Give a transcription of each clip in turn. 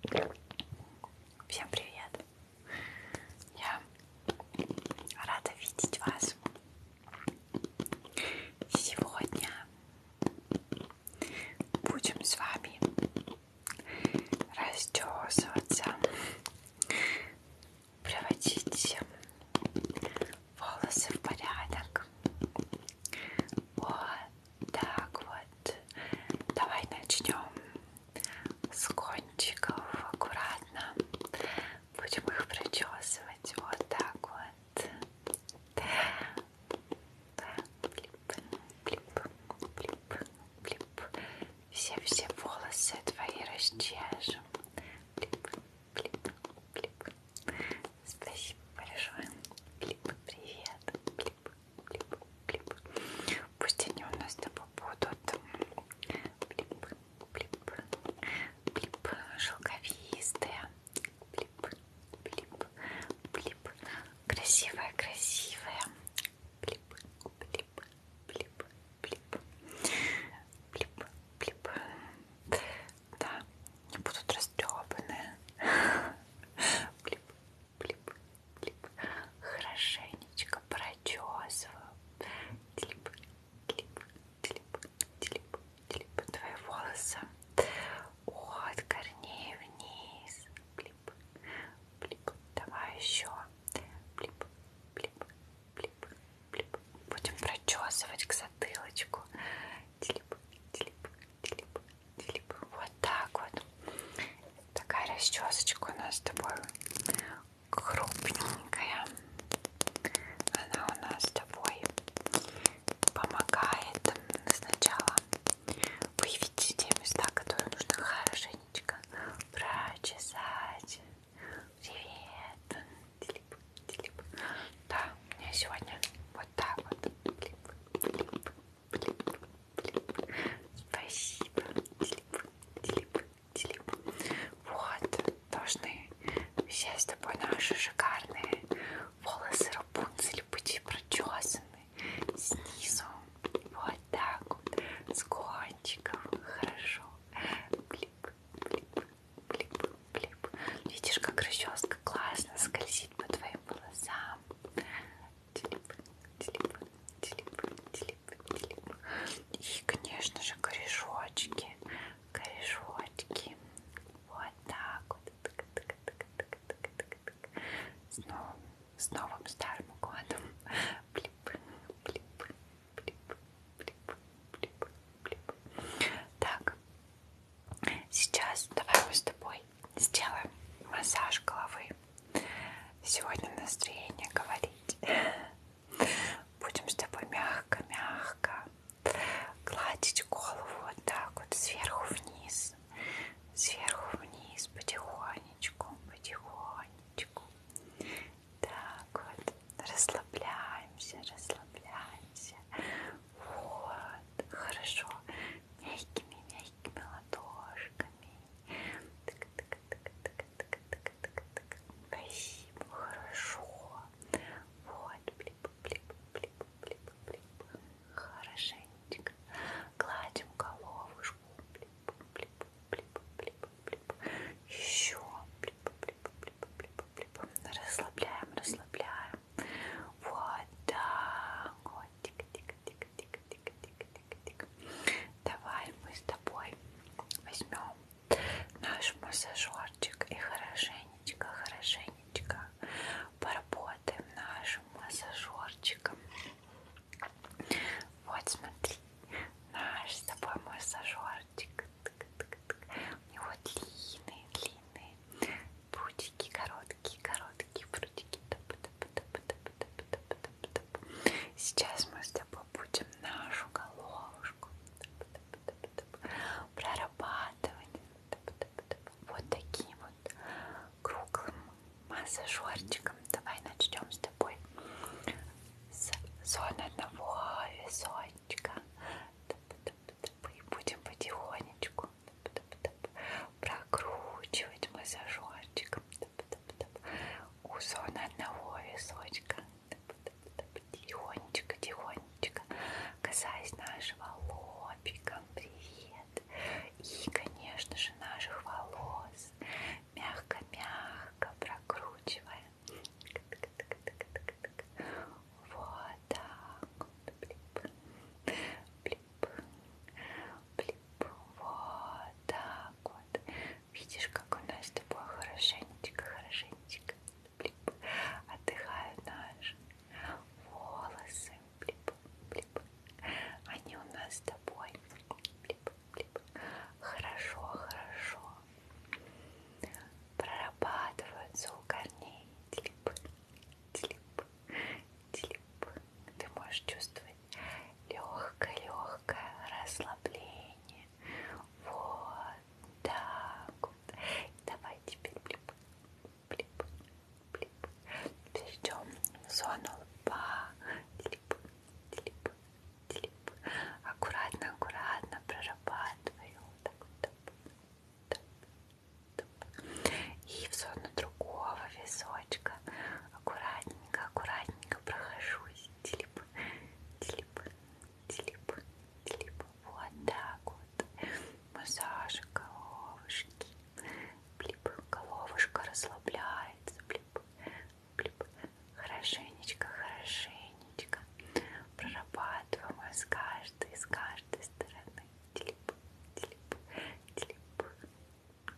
Привет. Всем привет. Я рада видеть вас сегодня. Будем с вами растесываться, приводить волосы в порядок. Вот так вот. Давай начнем с кончиков аккуратно Будем их причесывать вот так вот. Блип, блип, блип, блип. Все-все волосы твои расчешем. Блип, блип, блип. Спасибо большое. Блип, привет. Блип, блип, блип. Пусть они у нас с тобой будут. Блип, блип, блип, шелковистая, блип, блип, блип, красивая, красивая, блип, блип, блип, блип, блип, блип. Да, они будут растрепаны. Блип, блип, блип. Хорошенечко прочесываю. Блип, Телеп, телеп, телеп, телеп твои волосы от корней вниз. Плип, плип. Давай еще. Плип, плип, плип, плип. Будем прочесывать к затылочку. Телеп, телеп, телеп, телеп. Вот так вот. Такая расчесочка у нас с тобой крупненькая. Она у нас с тобой помогает сначала выявить те места, которые нужно хорошенечко прочесать. Привет! Телеп, телеп. Да, у меня сегодня вот так вот. Телеп, телеп, телеп, телеп. Спасибо. Телеп, телеп, Дилип. Вот, должны все с тобой наши шикарные волосы Рапунцель быть прочесаны снизу. Вот так вот, с кончиков. Хорошо. Блип, блип, блип, блип. Видишь, как расческа классно скользит по твоим волосам. Телеп, телеп, телеп, телеп. И, конечно же, корешочки. Корешочки. Вот так вот. Тык -тык -тык -тык -тык -тык -тык. С, новым, с новым старым годом. Блип, блип, блип, блип, блип, блип. Так. Сейчас давай мы с тобой сделаем массаж головы. Сегодня настроение говорить. Будем с тобой мягко-мягко гладить голову вот так вот сверху вниз, сверху вниз, потихонечку, потихонечку. Так вот, расслабляемся, расслабляемся. Вот, хорошо, мягкими-мягкими ладошками. Так, так, так, так, Спасибо, хорошо. Вот, блип, блип, блип, блип, блип. Хорошенечко. Гладим головушку. Блип, блип, блип, блип, блип. Еще. Блип, блип, блип, блип, блип. Расслабляем, расслабляем. Вот так. Вот, тика, тика, тика, тика, тика, тика, тика. Давай мы с тобой возьмем наш массажерчик и хорошенечко, хорошенечко поработаем нашим массажерчиком. Вот смотри, наш с тобой массажерчик. У него длинные, длинные прутики, короткие, короткие прутики. Сейчас мы с тобой будем нашу головушку прорабатывать вот таким вот круглым массажерчиком. Давай начнем с тобой с зоны одного височка. И будем потихонечку прокручивать массажерчиком у зоны одного височка Тихонечко, тихонечко, касаясь нашего лобика, привет. И, конечно же, наших волос. Мягко-мягко прокручиваем. Вот так. Блип. Блип. Блип. Вот так вот. Видишь, как у нас с тобой хорошенечко, хорошенечко блип, отдыхают наши волосы. Блип, блип. Они у нас с тобой блип, блип. хорошо, хорошо прорабатываются у корней. Телеп, телеп, телеп. Ты можешь чувствовать легкое-легкое расслабление. Вот, так вот. Давай теперь блип, блип, блип. Перейдем в зону лба. Блип, блип, блип. Аккуратно, аккуратно прорабатываю. Так вот. Топ, топ, топ. И в зону другого височка. Аккуратненько, аккуратненько прохожусь. Телеп, телеп, Телеп, типа, телеп. Типа вот так вот. Массаж головушки. Блип. Головушка расслабляется. Блип. Блип. Хорошенечко, хорошенечко. Прорабатываем с каждой, с каждой стороны. Телеп, телеп, телеп.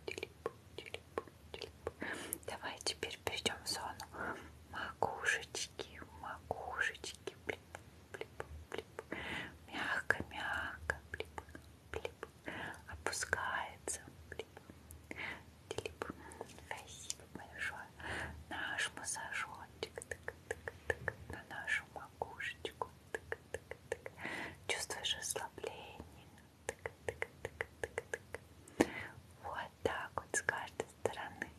Телеп, телеп, телеп. Давай теперь перейдем в зону макушечки макушечки, макушечки, блип, блип, блип, мягко, мягко, блип, блип, опускается, блип, блип. Спасибо большое. Наш массажочек, так, так, так, на нашу макушечку, так, так, так. Чувствуешь расслабление, так, так, так, так, так. Вот так вот с каждой стороны.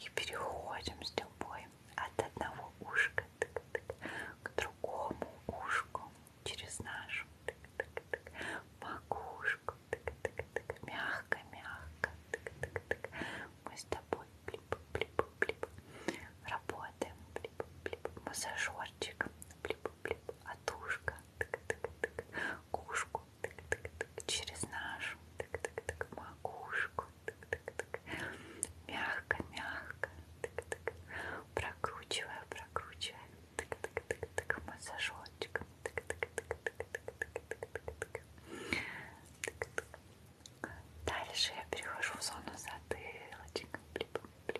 И переходим с тобой от одного ушка к другому ушку через нашу макушку. Мягко-мягко. Мы с тобой блип, блип, блип. работаем. Блип, блип. Массажерчик. Блип, блип, отушка, тык-тык-тык, кушку, тык-тык-тык, через нашу, тык-тык-тык, макушку, тык-тык-тык, мягко-мягко, тык-тык, прокручивая, прокручивая, тык-тык-тык-тык, массажочком, тык-тык-тык-тык-тык-тык-тык-тык. Дальше я перехожу в зону затылочек, блип, блип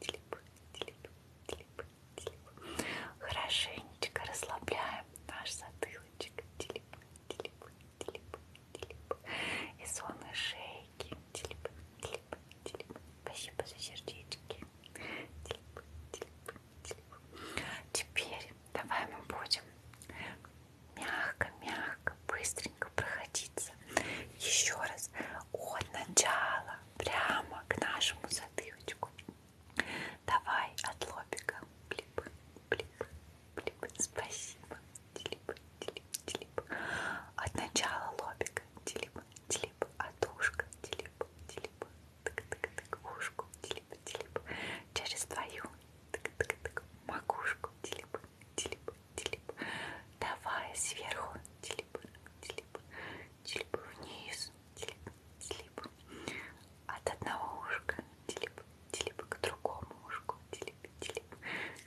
телеп, телеп, телеп, телеп. Хорошенечко расслабляем наш затылочек. Телеп, телеп, телеп, телеп. И зоны шейки. Телеп, телеп, телеп. Спасибо за сердечки. Телеп, телеп, телеп. Теперь давай мы будем мягко-мягко, быстренько проходиться. Еще раз от начала прямо к нашему затылочку. Давай от лобика. Блип, блип, блип. Спасибо. Телип, телип, телип. От начала лобика. Телип, телип. От ушка. Телип, телип. Тык-тык-тык. Ушку. Телип, телип. Через твою. Тык-тык-тык. Макушку. Телип, телеп, телеп. Давай сверху, телеп, телеп, телеп вниз, телеп, телеп. От одного ушка, телеп, телеп к другому ушку, телеп, телеп.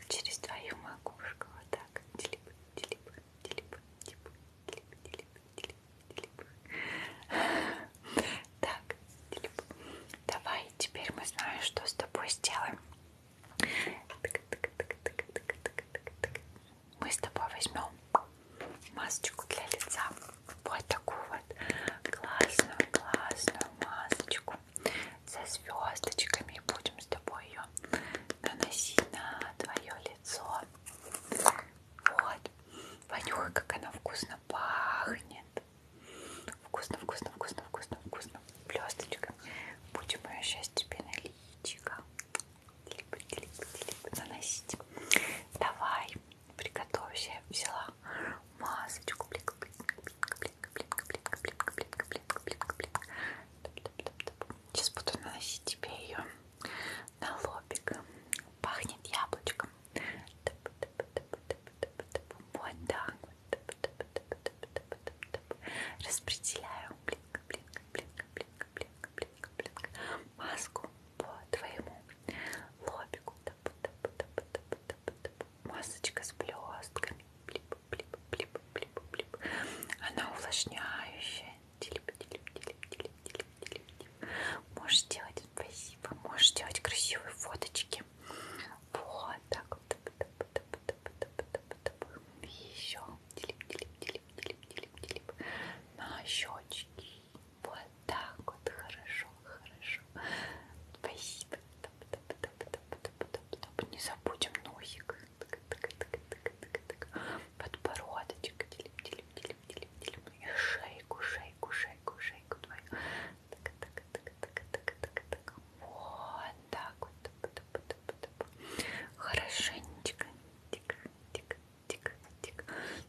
Через твою макушку, вот так, телеп, телеп, телеп, телеп, телеп, телеп, телеп, телеп. Так, телеп. Давай, теперь мы знаем, что с тобой сделаем. Мы с тобой возьмем масочку для лица. Вот такую вот классную, классную масочку со звездочками. И будем с тобой ее наносить на твое лицо. Вот. Понюхай, как она вкусно пахнет. Вкусно, вкусно, вкусно, вкусно, вкусно. Блесточка. Будем ее сейчас тебе на личико заносить. Давай, приготовься. Я взяла масочку. Блик, блик, блик, блик, блик, блик, блик, блик, блик, блик, блик. Сейчас буду наносить тебе ее на лобик. Пахнет яблочком. Вот так. Распределяю блинка, блинка, блинка, блинка, блинка, блинка, блинка. Маску по твоему лобику. Масочка с блестками. Блип, блип, блип, блип, блип. Она увлажняющая. Делип, делип, делип, делип, делип, делип, делип. Можешь делать спасибо. Можешь делать красивые фоточки. Вот так вот. И еще делим, делим, делим, делим, делим, делим на щечки. Вот так вот, хорошо, хорошо. Спасибо. Не забудем носик. Подбородочек. Делим, делим, делим, делим, делим. И шейку, шейку, шейку, шейку твою. Так, так, так, так, так, так, так. Вот так вот. Хорошенечко. Тик, тик, тик, тик.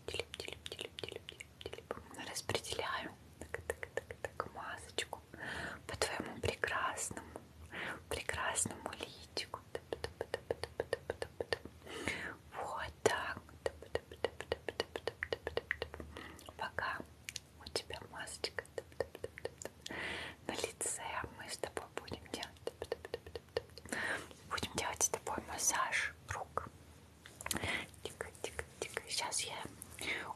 Телеп, телеп, телеп, телеп, телеп. Распределяю. Так, так, так, так, масочку по твоему прекрасному, прекрасному личику. Вот так. Пока у тебя масочка на лице мы с тобой будем делать будем делать с тобой массаж рук тихо тихо тихо сейчас я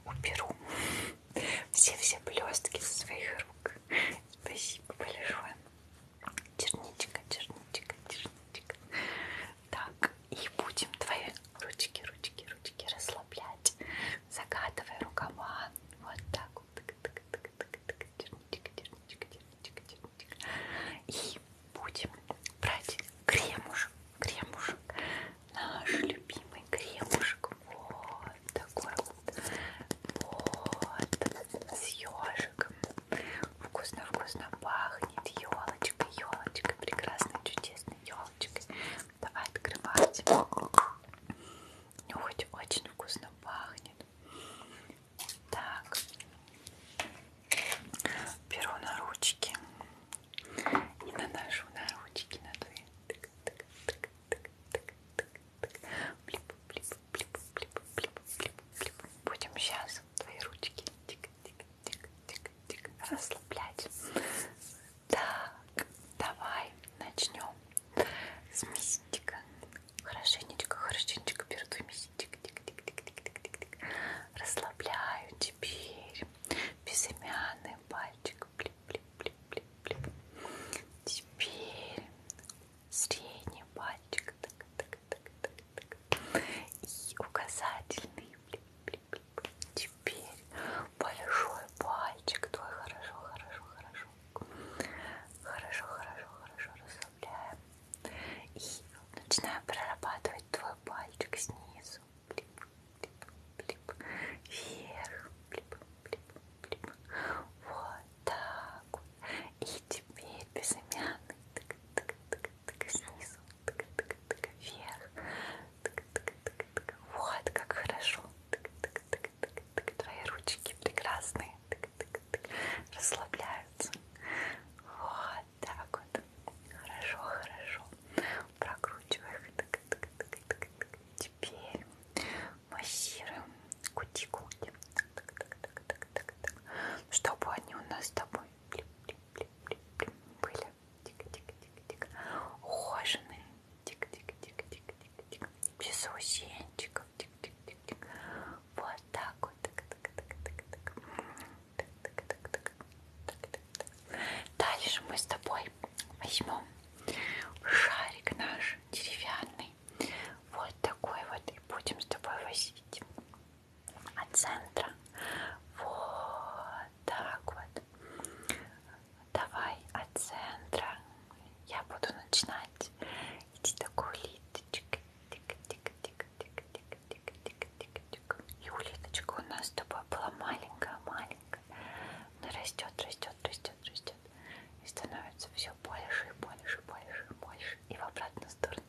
уберу все все блестки со своих рук спасибо большое черничка черничка черничка так и будем твои ручки ручки ручки расслаблять загадывая рукава вот так вот так, так, так, и будем брать кремушек, кремушек, наш любимый кремушек, вот такой вот, вот с ежиком, вкусно-вкусно пахнет, елочка, елочка, прекрасная, чудесная елочка. Давай открывать. Нюхать ну, очень вкусно пахнет. Так. Беру на ручки. И наношу на ручки на две. Будем сейчас твои ручки тик, тик, тик, тик, тик, расслаблять. Так. Давай начнем с мясинчика. Хорошенечко, хорошенечко пердуй мясинчик. Тик, тик, тик, тик, тик, тик, тик. Расслабляю теперь безымянный пальчик. Блип, блип, блип, блип, блип. Теперь средний пальчик. Так, так, так, так, так. И указательный. Блип, блип, блип. Теперь большой пальчик твой. Хорошо, хорошо, хорошо хорошо. Хорошо, хорошо, хорошо расслабляем. И начинаем прорабатывать твой пальчик снизу. Блип, блип, блип. Вверх. Блип, блип, блип. Вот так вот. И теперь безымянный. Так, так, так, так, снизу. Так, так, так, вверх. Так, так, так, так. Вот как хорошо. Так, так, так, тык-тык-тык. Твои ручки прекрасные. Тык-тык-тык. Расслабляются. Вот так вот. Хорошо, хорошо. Прокручивай их. Тык-тык-тык-тык. Теперь массируем кутикулки. Тык-тык-тык-тык-тык. Чтобы они у нас с тобой были. Тик-тик-тик-тик. Ухоженные тик-тик-тик-тик-тик-тик. Без усенчиков. Тик-тик-тик-тик. Вот так вот. Дальше мы с тобой возьмем шарик наш деревянный. Вот такой вот. И будем с тобой возить от центра. Вот так вот. Давай от центра я буду начинать идти такой улиточкой. И улиточка у нас с тобой была маленькая-маленькая. Она растет, растет, растет, растет. И становится все больше и больше, больше и больше. И в обратную сторону.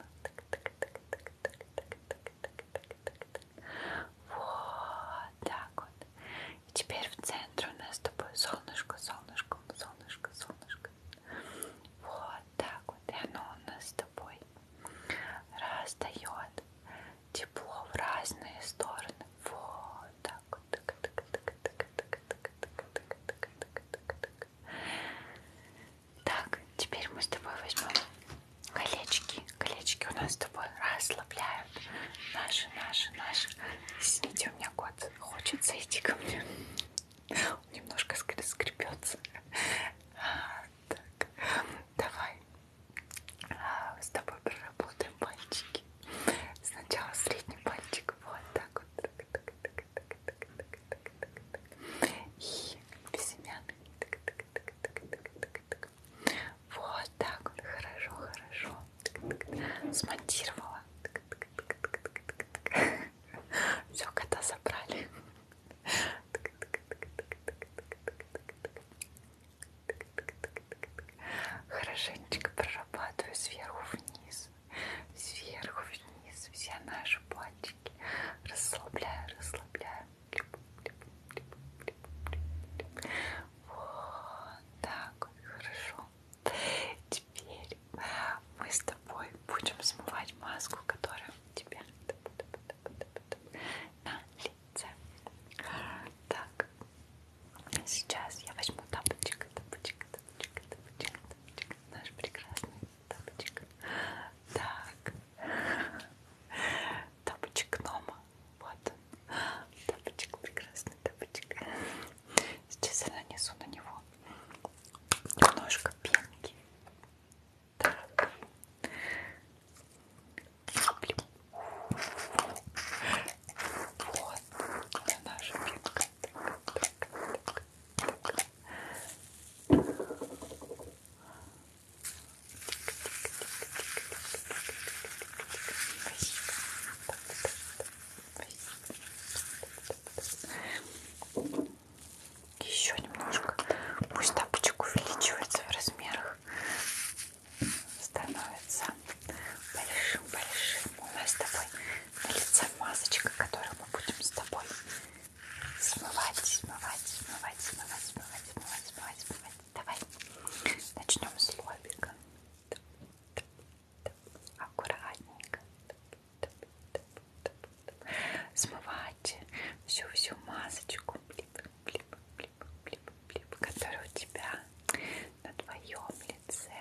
Вот так вот. И теперь в центре у нас с тобой солнышко, солнышко, солнышко, солнышко. Вот так вот. И оно у нас с тобой раздает тепло в разные стороны. Вот так вот. Так, так, так, так, так, так, так, так, так, так. Так, теперь мы с тобой возьмем колечки. Колечки у нас с тобой расслабляют наши, наши, наши. Извините, у меня кое вот, хочется идти ко мне. Он немножко скребется. А, так, давай а, с тобой проработаем пальчики. Сначала средний пальчик, вот так вот. Так, так, так, так, так, так, так, так, так. И безымянный. Так, так, так, так, так, так, так. Вот так вот, хорошо, хорошо смонтировала. Все, кота забрали. Хорошенечко прорабатываю сверху вниз, сверху вниз все наши пальчики. Расслабляю, расслабляю. Вот так вот, хорошо. Теперь мы с тобой будем смывать маску, которая у тебя на лице. Так, сейчас я возьму тапочек, тапочек, тапочек, тапочек, тапочек, наш прекрасный тапочек. Так, тапочек Нома, вот он, тапочек прекрасный, тапочек. Сейчас я нанесу на него немножко пенки. Так. Вот это наша пенка. Так, так, так, так. Спасибо. Еще немножко. Пусть тапочек увеличивается в размерах. Становится большим-большим. У нас с тобой на лице масочка, которую мы будем с тобой смывать, смывать, смывать, смывать, смывать, смывать, смывать, смывать. Давай начнем с лобика. Тап, тап, аккуратненько смывать всю-всю масочку, блип, блип, блип, блип, блип, которая у тебя на твоем лице.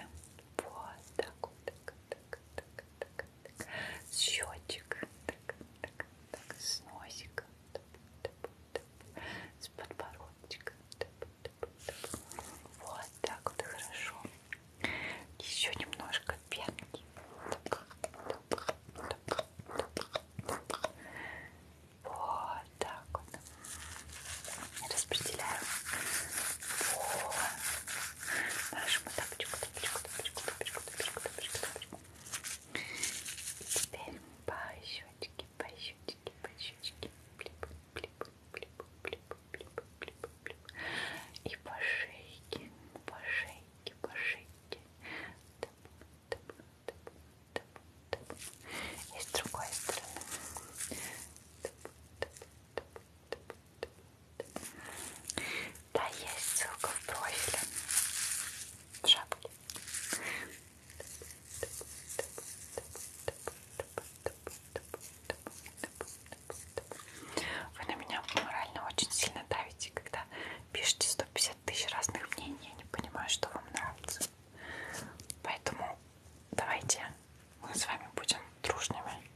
Вот так вот, так, так, так, так, так. С счетчик, так, так, так, с носика, так, так, так. с подбородчика, так, вот так вот хорошо. Еще немножко пенки. Вот так вот. Распределяем по нашему тапочку, тапочку, тапочку, тапочку, тапочку, тапочку, тапочку. И теперь по щечке, по щечке, по щечке. Блип, блип, блип, блип, блип, блип, блип. И по шейке, по шейке, по шейке. Тап, тап, тап, тап, тап. И с другой стороны. Тап, тап, тап, тап, тап, тап. Да, есть ссылка в профиле. В шапке. Тап, тап, тап, тап, тап, тап, тап. Вы на меня морально очень сильно давите, когда пишете 150 тысяч разных мнений. Я не понимаю, что вам нравится. Поэтому давайте мы с вами будем дружными.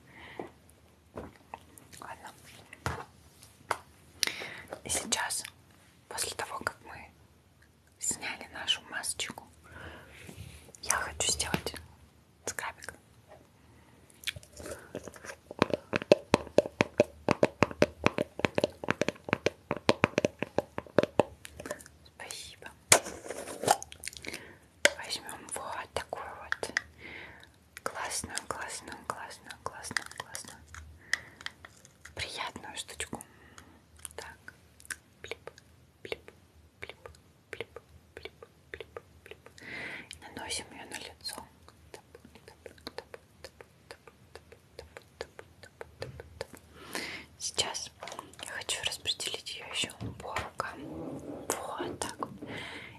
Ладно. И сейчас, после того, как мы сняли нашу масочку, я хочу сделать скрабик. Спасибо. Возьмем вот такую вот классную, классную, классную, классную, классную, приятную штучку. Так, блип, блип, плип, плип, плип, плип, плип. И наносим ее на лицо. Тап, тап, тап, тап, тап, тап, тап, тап, тап. Сейчас я хочу распределить ее еще по рукам. Вот так.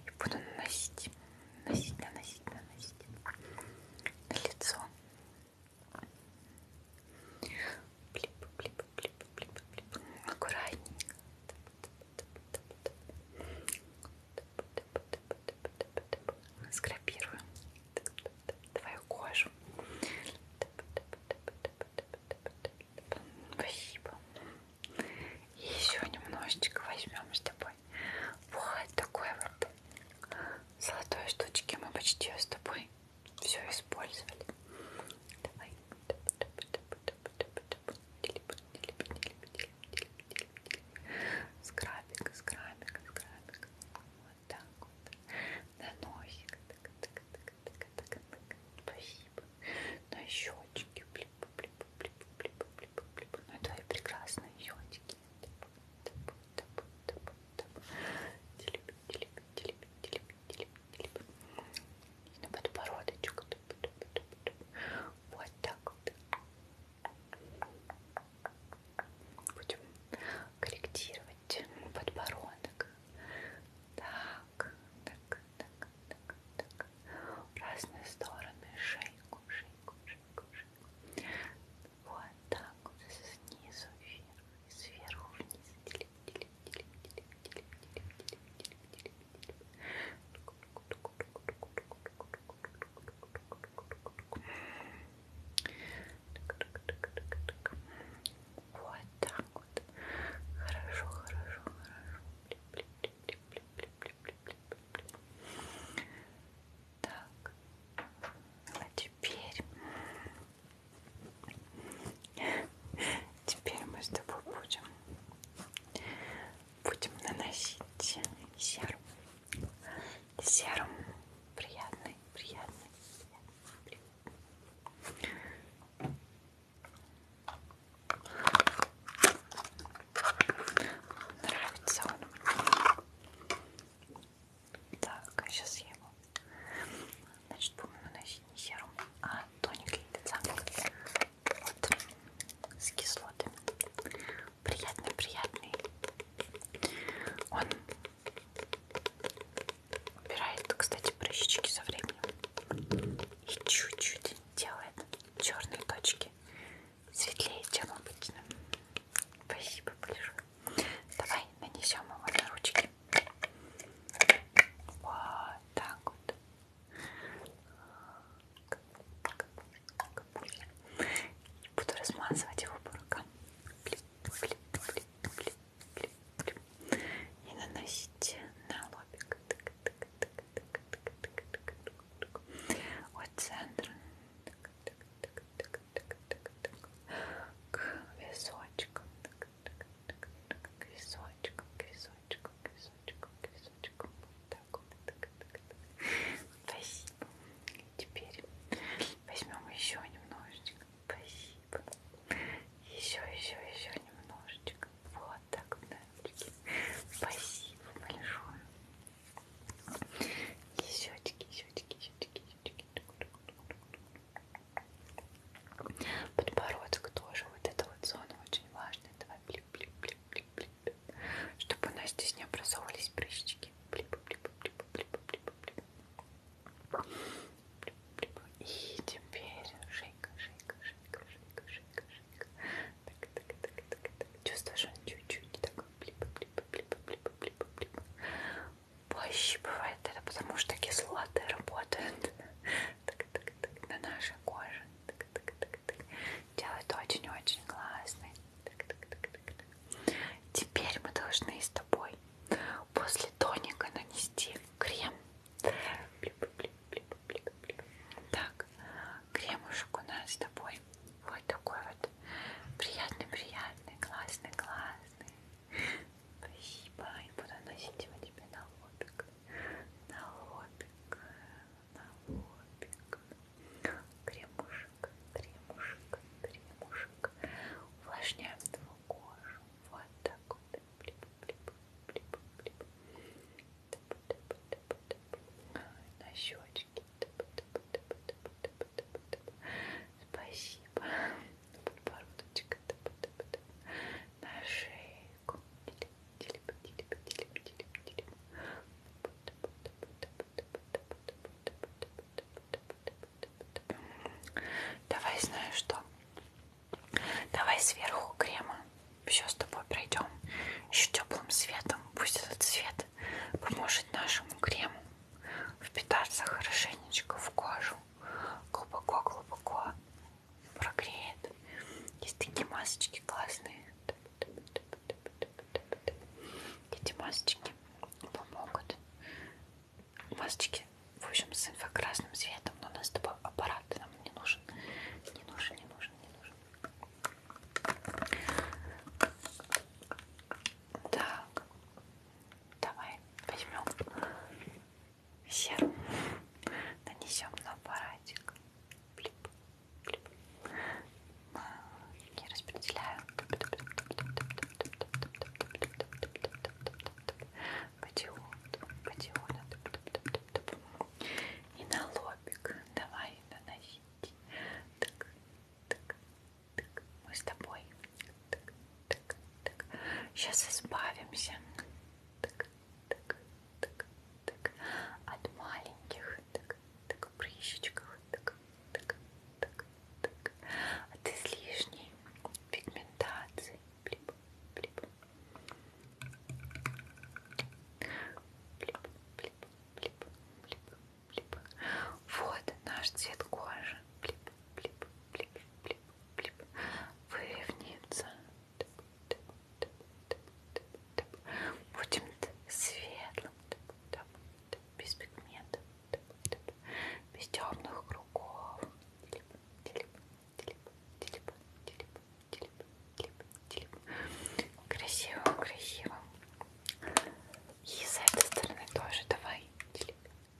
И буду наносить, наносить, наносить, наносить на лицо. Плип, плип, аккуратненько скрапируем твою кожу спасибо и еще немножечко возьмем с тобой вот такой вот золотой штучки мы почти с тобой все использовали давай Скрабик, скрабик, скрабик. Вот так вот. На носик. Так, так, так, так, так, так. Спасибо. На щечки. Блип, блип, блип, блип, блип, блип. Ну, твои прекрасные щечки. Тап, тап, тап, тап, тап. Телеп, телеп, телеп, телеп, телеп, и на подбородочек. Вот так вот. Будем корректировать подбородок. Так, так, так, так, так. В разные стороны шейку, шейку, шейку, шейку. Вот так вот. Снизу вверх, сверху вниз. Вот так вот. Хорошо, хорошо, хорошо. Так, а теперь Теперь мы с тобой будем, будем наносить серым. Серым приятный, приятный, приятный. Нравится он. Так, сейчас а я его Значит, буду наносить не серум, а тоник для лица. Вот. С кислотами. Приятный, приятный. Он убирает, кстати, прыщички со временем. И чуть-чуть делает черные точки. Светлее, чем обычно. Спасибо большое. Давай нанесем его на ручки. Вот так вот. И буду размазывать его по рукам. И наносить на лобик. От центра к височкам. К височкам, к височкам кусочком, кусочком, кусочком. Вот так вот. Так, так, так. Спасибо. Теперь возьмем еще немножечко. Спасибо. Еще, еще, еще немножечко. Вот так вот, мальчики. Спасибо большое. Щечки, щечки, щечки, щечки. Подбородок тоже, вот эта вот зона очень важная. Давай блип, блип, блип, блип, блип. Чтобы у нас здесь не образовывались прыщики. Блип, блип, блип, блип, блип, блип. И теперь шейка, шейка, шейка, шейка, шейка, шейка. Так, так, так, так, так. Чувствуешь, он чуть-чуть так блип, блип, блип, блип, блип, блип. Пощипывает это, потому что кислоты работают так, так, так, на нашей коже. Так, так, так, так. Делает очень-очень классно. Так, так, так, так, так. Теперь мы должны с тобой после тоника нанести крем. Так, кремушек у нас с тобой вот такой вот приятный-приятный, классный-классный. Спасибо, и буду носить его тебе на лобик на лобик, на лобик, кремушек, кремушек, кремушек, увлажняем твою кожу, вот так вот, блип, блип, блип, блип, тап, тап, тап, тап. на щечки, тап, тап, тап, тап, тап, тап, тап. спасибо, подбородочек, тап, тап, тап. на шею, человеку. Давай, знаешь что? Давай сверху крема. Все с тобой пройдем. Еще теплым светом. Пусть этот свет поможет нашему крему впитаться хорошенечко в кожу. Глубоко-глубоко прогреет. Есть такие масочки классные. Эти масочки помогут. Масочки, в общем, с инфракрасным светом, но у нас с тобой аппарат нам не нужен. Не нужен, не нужен, не нужен. Так, давай возьмем серу нанесем на аппаратик. Плип, плип. А, я распределяю по диоду, по диоду. И на лобик давай наносить. Так, так, так. Мы с тобой. Так, так, так. Сейчас избавимся. Так, так, так, так, от маленьких так, так, прыщичках, так, так, так, так, от излишней пигментации. Блип, блип. Блип, блип, блип, блип, блип. Вот наш цвет кожи. Блип, блип, блип, блип, блип. Выровняется, Будем светлым, без пигментов, без темных кругов. Красиво, красиво. И с этой стороны тоже давай. Телеп,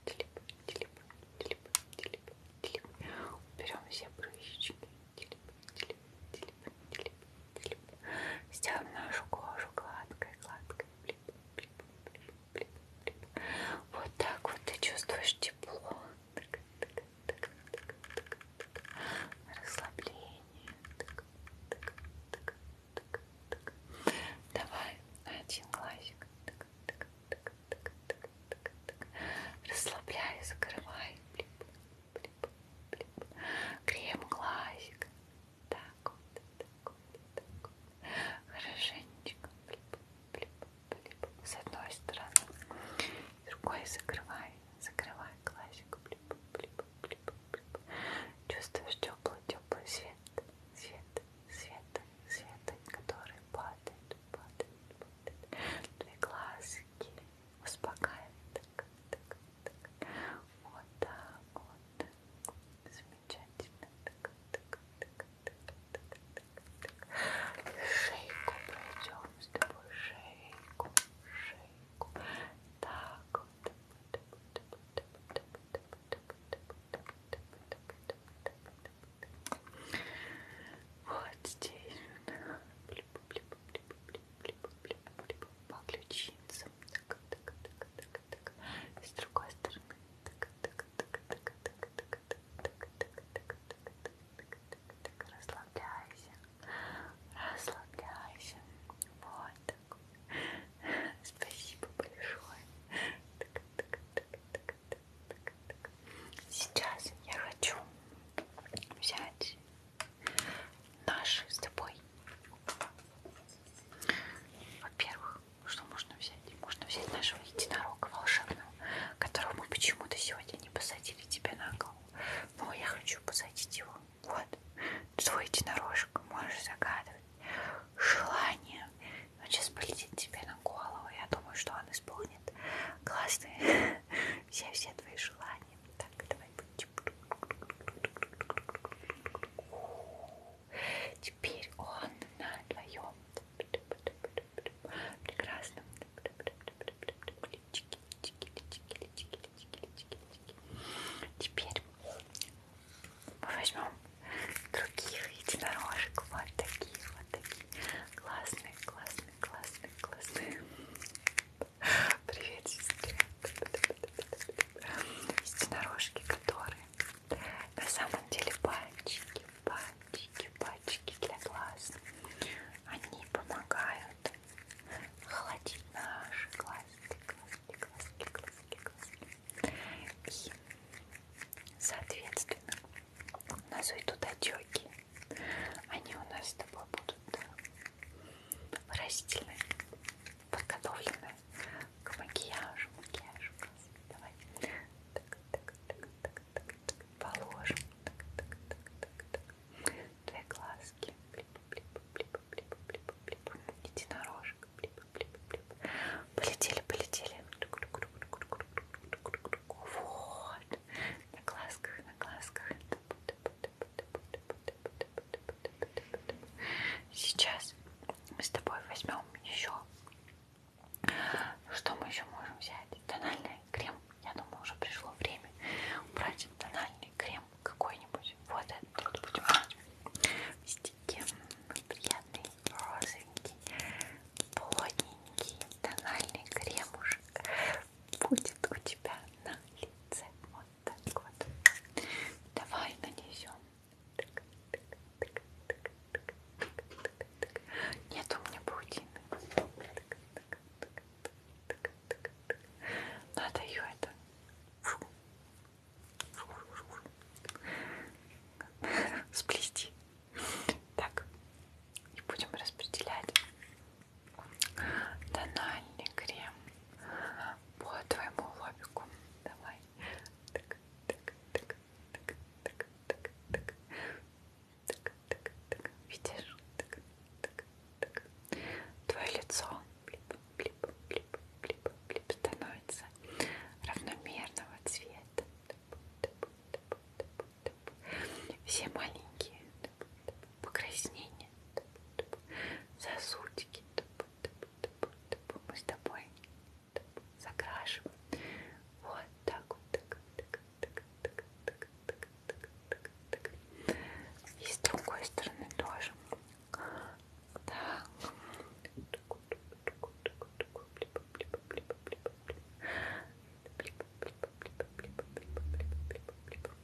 телеп, телеп, Телеп, телеп, телеп. Уберем все прыщики. Телеп, телеп, телеп, телеп, телеп. Сделаем нашу кожу гладкой, гладкой. Блип, блип, блип, блип, блип. Вот так вот ты чувствуешь тепло. Так, так, так, так, так, так. Расслабление. Так, так, так, так, так. Давай один глазик. Так, так, так, так, так, так, так. расслабляй, закрывай, блип, блип, блип. крем глазик, так вот, так вот, так вот. хорошенечко, блип, блип, блип. с одной стороны, другой закрывай, закрывай глазик, блип, блип, блип, блип. чувствуешь теплый, теплый свет, свет, свет, свет, который падает падают, падают, падают. Твои глазки успокаивают. Так, так, так. Вот так вот. Замечательно. Так, так, так, так, так, так, так. Шейку пройдем с тобой. Шейку, шейку. Так вот. Вот здесь по ключицам. Так, так, так, так, так. И с другой стороны. Так, так, так, так, так, так, так, так, так, расслабляйся. Расслабляйся. Вот так. Спасибо большое. Так, так, так, так, Сейчас я хочу взять наши с тобой. Во-первых, что можно взять? Можно взять нашего единорога волшебного, которого мы почему-то сегодня не посадили тебе на голову. Но я хочу посадить его. Вот, свой единорожек, можешь загадывать. Желание. Он сейчас полетит тебе на голову. Я думаю, что он исполнит станет классный. Все-все твои желания. Так, давай Теперь он на твоем прекрасном личике. Теперь мы возьмем других единорожек, вот такие, вот такие, классные, классные классный, классный, классный. Привет, сестре. Единорожки, которые на самом деле пальчики, пальчики, пальчики для глаз. Они помогают холодить наши глазки, глазки, глазки, глазки, глазки. И, соответственно, у нас уйдут отеки. Они у нас с тобой будут растительные, подготовленные к макияжу. Макияжу. Давай. Так, так, так, так, так, так. Положим. Так, так, так, так, так. Две глазки. Блип, блип, блип, блип, блип, блип. Единорожек. Блип, блип, блип. Полетели, полетели. Тук, тук, тук, тук, тук. Вот. На глазках, на глазках. Сейчас мы с тобой возьмем еще. Что мы еще можем взять? Тональный крем. Я думаю, уже пришло время брать тональный крем какой-нибудь. Вот этот вот будем брать. Мистики, приятный, розовенький, плотненький тональный кремушек будет у тебя на лице. Вот так вот. Давай нанесем. Нет у меня паутины. Надо ее это. Сплести. Так, и будем распределять тональный крем по твоему лобику. Давай. Так, так, так, так, так, так, так. Так, так, так. Видишь? Так, так, так. Твое лицо блип, блип, блип, блип, блип становится равномерного цвета. Тып, тып, все маленькие покраснения, сосудики мы с тобой закрашиваем. Вот так вот. И с другой стороны тоже. Так.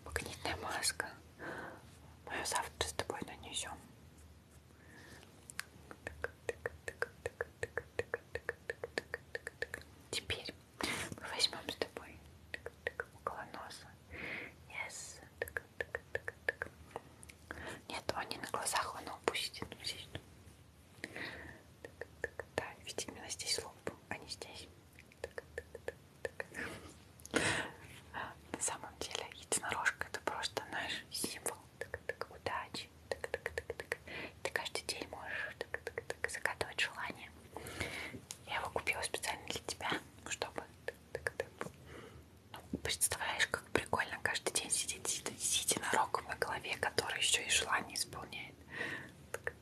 Магнитная маска. Мы ну, ее завтра с тобой нанесем. Теперь мы возьмем с тобой около носа. Yes. Нет, он не на глазах, он упустит. Так, так, да, ведь именно здесь лоб, а не здесь. Так, так, так, так. На самом деле единорожка это просто наш символ так, так, удачи. Так, так, так, так. Ты каждый день можешь так, так, так, загадывать желание. Я его купила специально для тебя, чтобы так, так, так. Ну, представляешь, как прикольно каждый день сидеть сидя на рогом на голове, который еще и желание исполняет. Так,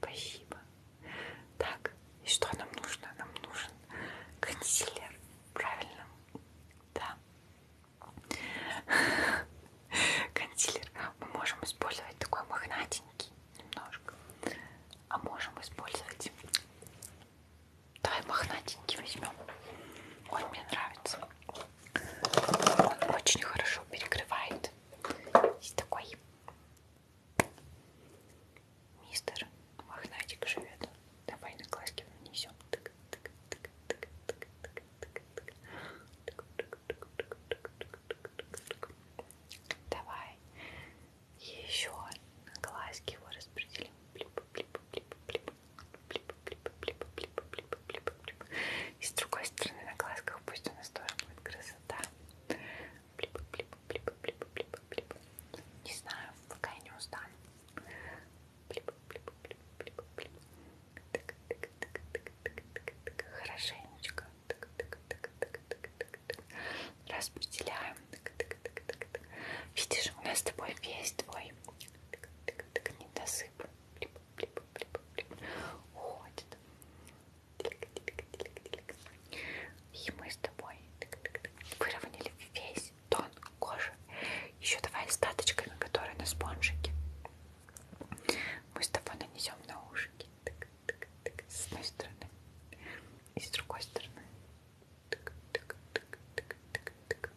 Спасибо. Так, и что нам нужно? Нам нужен консилер, правильно? Да. Консилер. Мы можем использовать такой мохнатенький немножко. А можем использовать... Давай мохнатенький возьмем. Он мне нравится. Он очень хорошо перекрывает. Есть такой мистер Мохнатик живет. Давай на глазки нанесем. Давай. Еще на глазки его распределим. Блип, блип, блип, блип. И с другой стороны на глазках пусть у нас тоже будет красота. Не знаю, пока я не устану. Хорошенечко. Распределяем. Видишь, у нас с тобой весь твой недосып блип, блип, блип, уходит. Тилька, тилька, тилька, тилька. И мы с тобой выровняли весь тон кожи. Еще давай остаточками, которые на спонжике. Мы с тобой нанесем на ушки. Так, так, так, с одной стороны и с другой стороны. Так, так, так, так, так, так.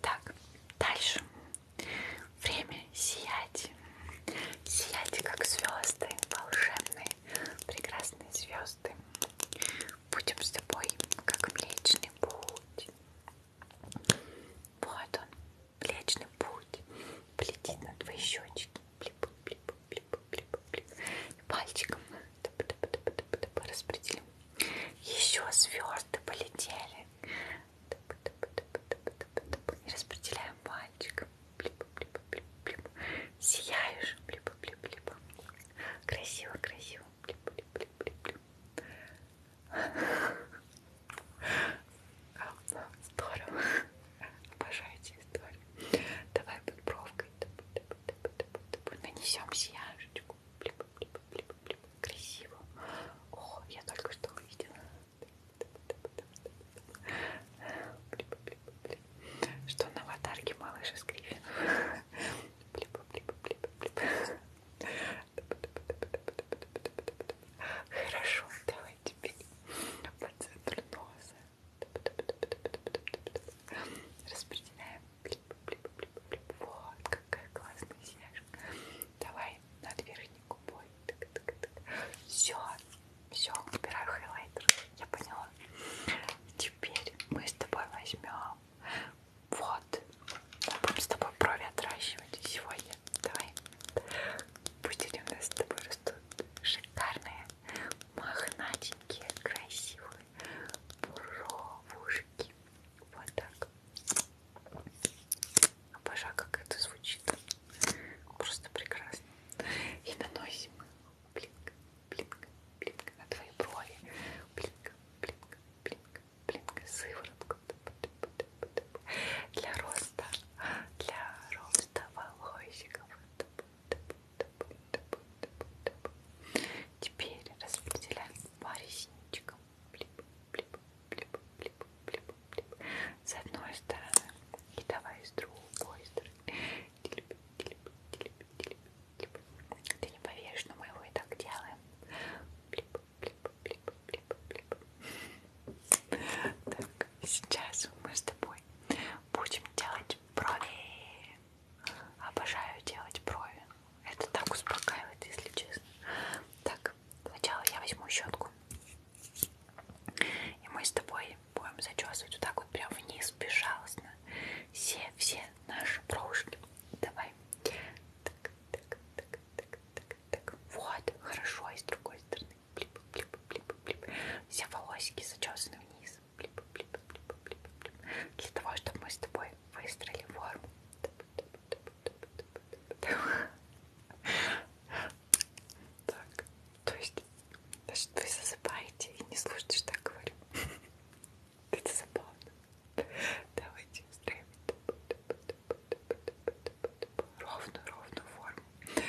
Так, дальше. Время сиять. Сияйте, как звезды, волшебные, прекрасные звезды. Будем с тобой, как Млечный Путь. Вот он, Млечный Путь. Полетит на твои щечки. Блип, блип, блип, блип, блип, блип. И пальчиком туп, туп, туп, туп, туп, туп, распределим. Еще звезды полетели. Туп, туп, туп, туп, туп, туп. И распределяем пальчиком. Блип, блип, блип, блип. Сияешь. Блип, блип, блип. Красиво, красиво. Блип, блип, блип, блип, блип. Здорово. Обожаю эти истории. Давай под бровкой нанесем сияшечку. Красиво. О, я только что увидела. Что на аватарке малыш из Гриффин. Хорошо, давай теперь по центру носа. Распределяем. Вот, какая классная синяшка. Давай над верхней губой. Все, все, убираю хайлайтер. Я поняла. Теперь мы с тобой возьмем. Вот. Мы будем с тобой брови отращивать сегодня. Давай. Пусть у нас с тобой растут шикарные, мохнатенькие, красивые буровушки. Вот так. Обожаю, как это звучит. Просто прекрасно. И наносим блинк, блинк, блинк на твои брови. Блинк, блинк, блинк, блинк. Сыворотку. Для роста. Для роста волосиков. Теперь распределяем по ресничкам. Блип, блип, блип, блип, блип, блип. С одной стороны и давай с другой стороны. Ты не поверишь, но мы его и так делаем. Блип, блип, блип, блип, блип. Так, сейчас мы с тобой будем делать брови. Обожаю делать брови. Это так успокаивает, если честно. Так, сначала я возьму щетку. И мы с тобой будем зачесывать вот так вот прям вниз, безжалостно. Все-все наши бровушки. Давай. Так, так, так, так, так, так. Вот, хорошо, и с другой стороны. Блип, блип, блип, блип. Все волосики зачесаны вниз блип, блип, блип, блип, блип. Для того, чтобы мы с тобой выстроили форму. Так, то есть, значит, вы засыпаете и не слушаете, что я говорю. Это забавно. Давайте устроим ровную, ровную форму.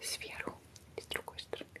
Сверху и с другой стороны.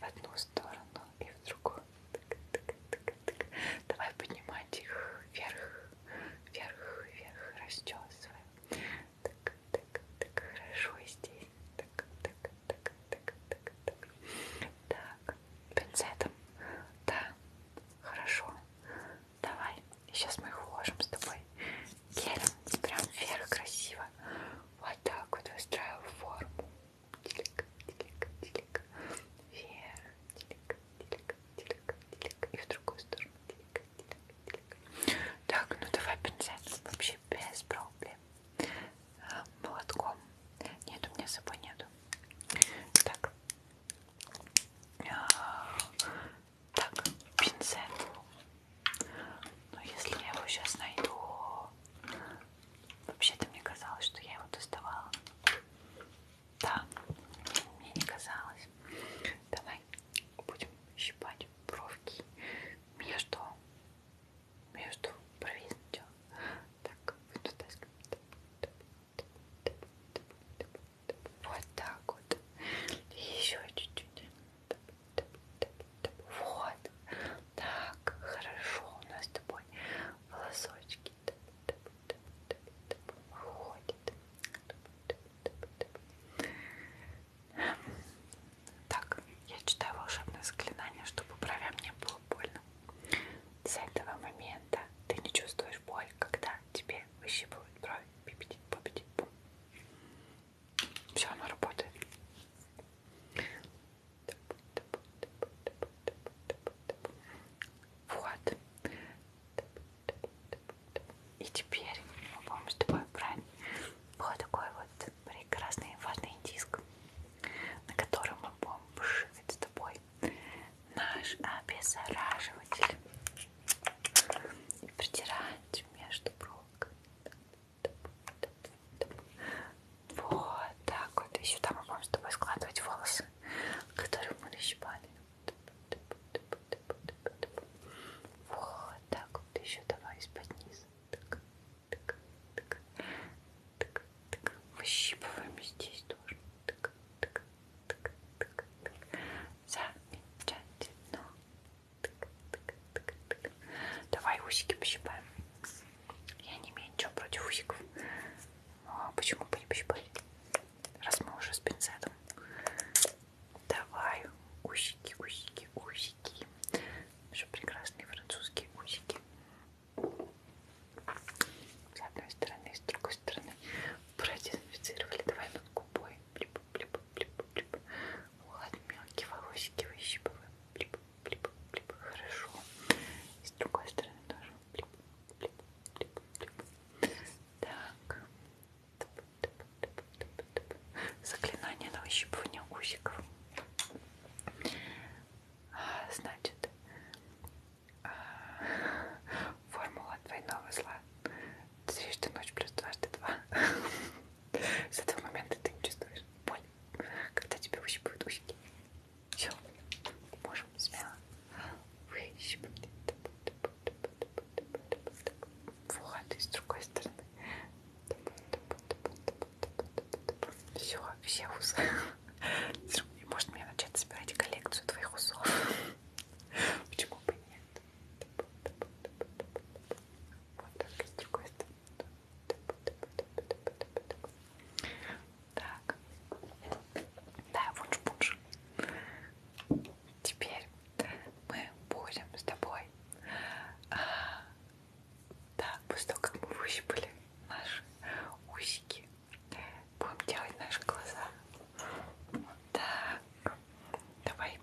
в одну сторону и в другую. Давай поднимать их вверх, вверх, вверх, расчесываем. Так, так, так, хорошо здесь. Так, так, так, так, так, так. Так, пинцетом. Да, хорошо. Давай. Сейчас мы их уложим с тобой гелем. Прям вверх красиво. Вот так вот выстраиваю форму. Телек, телек, телек. Вверх, телек, телек, телек, телек. И в другую сторону. Телек, телек, телек. Так, ну давай пинцет. Вообще без проблем. А, молотком. Нет, у меня с собой нету. Так. А, так, пинцет. Но ну, если я его сейчас найду... Вообще-то мне казалось, что я его доставала. Да, мне не казалось. Давай будем щипать бровки между, между бровей сначала. Так, вот туда. Вот так вот. И еще чуть-чуть. Вот. Так, хорошо. У нас с тобой волосочки выходят. Так, я читаю волшебное заклинание, чтобы бровям не было больно. С этого момента ты не чувствуешь боль, когда тебе выщипывают брови. Пипетит, попетит, пум. Все оно работает. Вот. И теперь мы будем с тобой брать вот такой вот прекрасный важный диск, на котором мы будем вшивать с тобой наш обеззараживатель и притирать между проволоками. Вот так вот. И сюда мы можем с тобой складывать волосы, которые мы нащипали. Вот так вот. Еще давай из-под низа. Так, так, так, так, так. Выщипываем здесь тоже. Так, так, так, так, так. Замечательно. Тык, тык, тык, тык. Давай усики пощипаем. Я не имею ничего против усиков. Но ну, а почему бы не пощипать? Раз мы уже с пинцетом. Давай усики, усики, усики. Еще прекрасные французские усики. С одной стороны, с другой стороны продезинфицировали. Давай над губой. Блип, блип, блип, блип. Ладно, мелкие волосики выщипываем. Блип, блип, блип, хорошо. И с другой стороны тоже блип, блип, блип, блип. Так. Туп, туп, туп, туп, туп. Заклинание на выщипывание усиков. А, значит, а, формула двойного зла. Дважды ночь плюс дважды два. С этого момента ты не чувствуешь боль когда тебя выщипывают усики. Все, можем смело выщипать. Вот, и с другой стороны. Все, все усы. Может мне начать собирать коллекцию твоих усов? Почему бы нет? Вот так и с другой стороны. Так. Да, вунш-пунш. Теперь мы будем с тобой. А, да, после того, как мы выщипали наши усики, будем делать наши глаза. Вот так. Давай.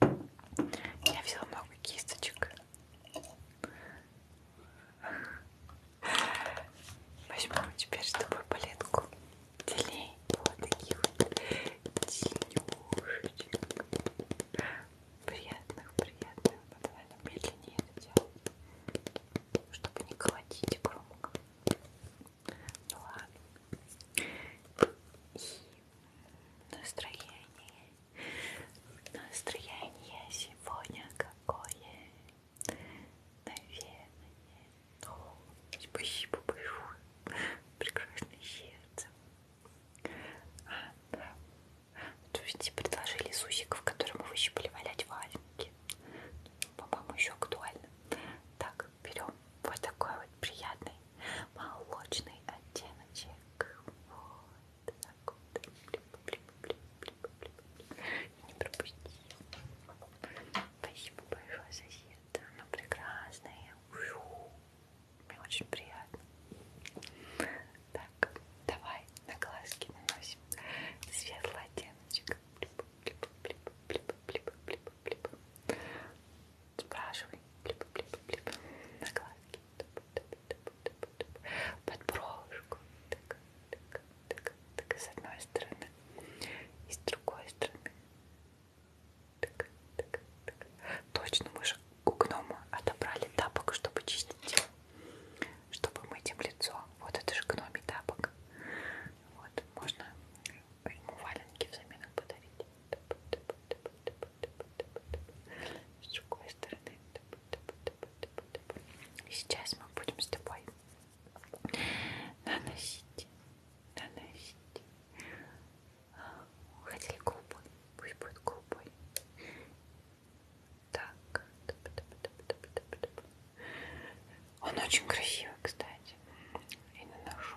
Я взяла много кисточек. Возьмем теперь с тобой палетку делей. Вот таких вот тенюшечек. Приятных, приятных. Но давай нам медленнее это делать, чтобы не колотить громко. Ну ладно. И настроение Настроение сегодня какое? Наверное, О, спасибо большое. Прекрасное сердце. А, да. То есть предложили сусиков, которым вы еще были валять валенки. Ну, по-моему, еще актуально. Так, берем вот такой вот приятный молочный оттеночек. Вот. Так вот. Не пропусти. Спасибо большое, соседа. Она прекрасная. Мне очень приятно. Так, давай на глазки наносим светлый оттеночек. Спрашивай. На глазки под бровушку так, так, так, так, с одной стороны и с другой стороны так, так, так. точно мы же у гнома отобрали тапок, чтобы чистить чтобы мыть им лицо вот это же гноми тапок вот, можно ему валенки взамен подарить с другой другой стороны. И сейчас мы будем с тобой наносить, наносить. Хотели голубой, пусть будет голубой. Так. Он очень красивый, кстати. И наношу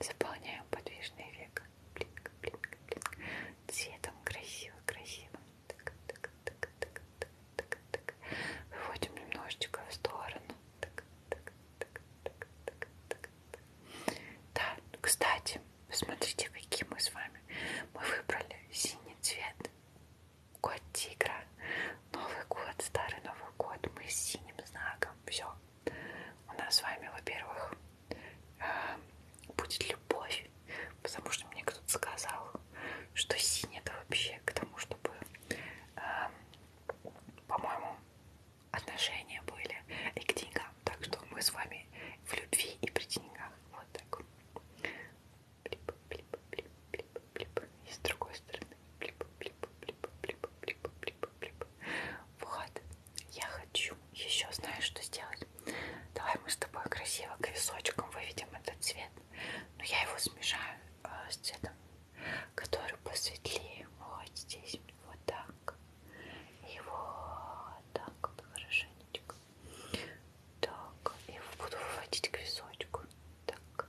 Заполняем подвижный век. Блинк, блинк, блинк. Цветом красиво, красиво. Так, так, так, так, так, так. Выводим немножечко в сторону. Так, так, так, так, так, так. Да, ну, кстати, посмотрите, какие мы с вами. Мы выбрали синий цвет год тигра, Новый год, старый Новый год, мы с синим знаком, все. У нас с вами, во-первых, а, будет любовь, потому что мне кто-то сказал, что синий это вообще к тому, чтобы, а, по-моему, отношения были и к деньгам. Так что мы с вами в любви и при деньгах. Вот так блип, блип, блип, блип, блип, и с другой стороны блип, блип, блип, блип, блип, блип, блип. Вот, я хочу еще, знаешь, что сделать? Давай мы с тобой красиво крисочком выведем этот цвет, но я его смешаю э, с цветом, который посветлее. Вот здесь, вот так, и вот так хорошенечко. Так, и буду выводить к височку. Так,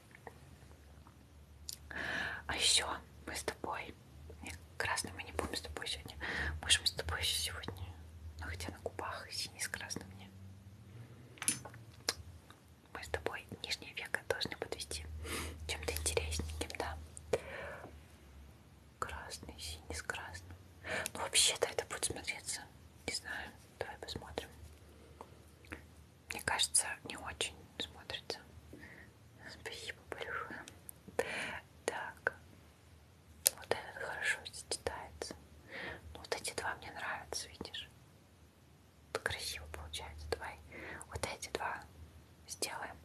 А еще мы с тобой, красный ну, мы не будем с тобой сегодня, можем с тобой еще сегодня, ну хотя на губах синий с красным мне. Мы с тобой нижнее веко должны подвести чем-то интересненьким, да? Красный, синий с красным. Ну вообще-то это будет смотреться, не знаю, давай посмотрим мне кажется, не очень смотрится. Спасибо большое. Так, вот этот хорошо сочетается. Ну, вот эти два мне нравятся, видишь? Вот красиво получается. Давай вот эти два сделаем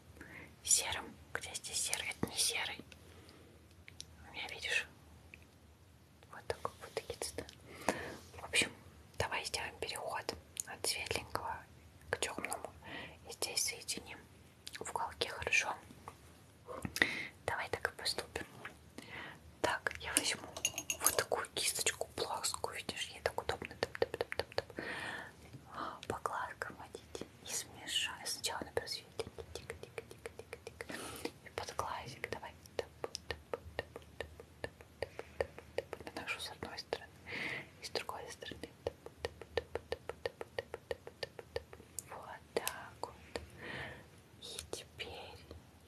серым. Где здесь серый? Это не серый. У меня, видишь, вот такой вот киц, да? В общем, давай сделаем переход от светленького к темному. И здесь соединим в уголке, хорошо? Давай так и поступим. Так, я возьму вот такую кисточку плоскую, видишь, ей так удобно топ -топ -топ -топ -топ. по глазкам водить и смешаю. Сначала например светленький, тик-тик-тик-тик-тик, и под глазик давай. Топ -топ -топ -топ -топ -топ наношу с одной стороны и с другой стороны. Вот так вот. И теперь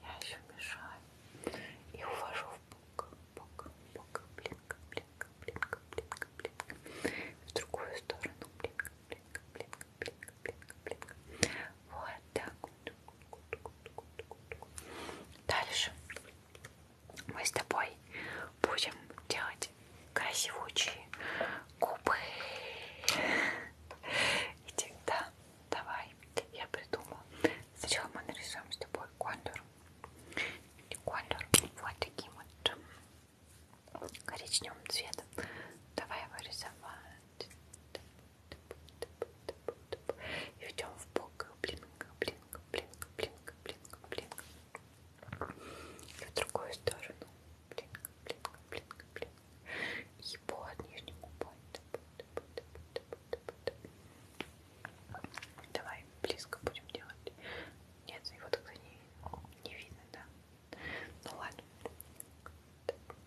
я еще мешаю и увожу в бок, бок, бок, блинка, блинка, блинка, блинка, блинка. В другую сторону, блинка, блинка, блинка, блинка, блинка, блинка. Вот так Дальше мы с тобой будем делать красивучие губы. Иди, да, давай. Я придумала. Сначала мы нарисуем с тобой контур. И контур вот таким вот коричневым цветом. Давай его рисовать. И ведем в бок. Блинк, блинк, блинк, блинк, блинк, блинк. И в другую сторону. Блинк, блинк, блинк, блинк. И по нижнему губой. Давай близко будем делать. Нет, его тогда не, не видно, да? Ну ладно. Так,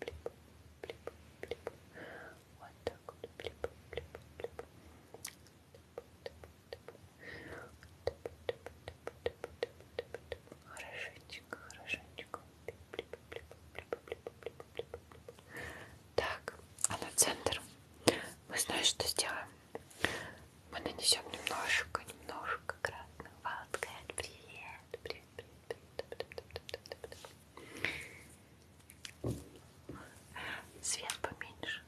плип, плип, плип. Вот так вот, плип, плип, плип. Хорошенечко, хорошенечко. Так, а на центр мы знаем, что сделаем. Мы нанесем немножко, немножко красного. Привет, привет, Свет поменьше.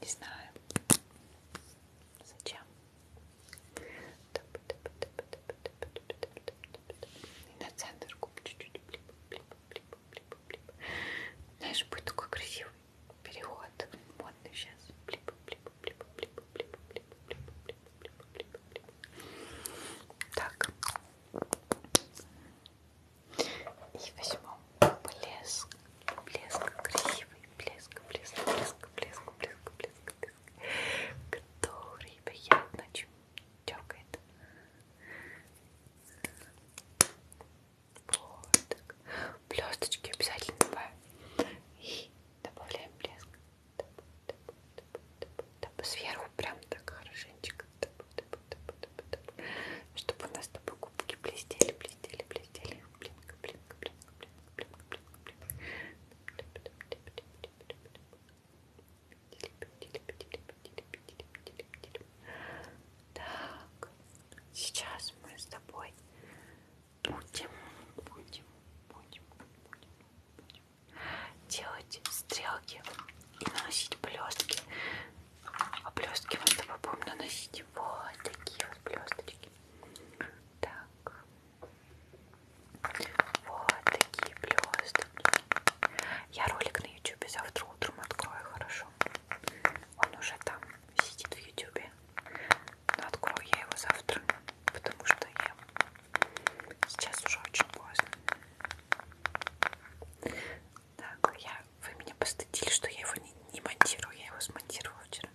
Не знаю. Зачем? И на центр губ чуть-чуть Знаешь, будет такой красивый переход. Модный сейчас. Блип, так. И возьмем блеск. Блеск красивый. Блеск, блеск, блеск, блеск, блеск, блеск, блеск. Который приятно чмокает. Вот так. Блесточки обязательно добавим. И добавляем блеск сверху прям так хорошенечко чтобы у нас с тобой губки блестели блестели блестели блинка блинка блинка блинка блинка блинка так сейчас мы с тобой будем, будем, будем, будем, будем делать стрелки и наносить блестки. А блестки вот этого будем наносить вот такие вот блесточки. Так. Вот такие блесточки. Я ролик на ютубе завтра утром открою, хорошо? Он уже там сидит в ютубе. Но открою я его завтра, потому что я сейчас уже очень поздно. Так, я, вы меня постыдили, что я его не, не монтирую, я его смонтировала вчера.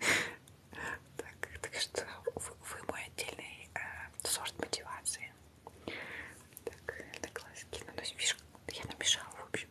Так, так что вы, вы мой отдельный э, сорт мотивации. Так, это классики. Ну, то есть, видишь, я намешала, в общем.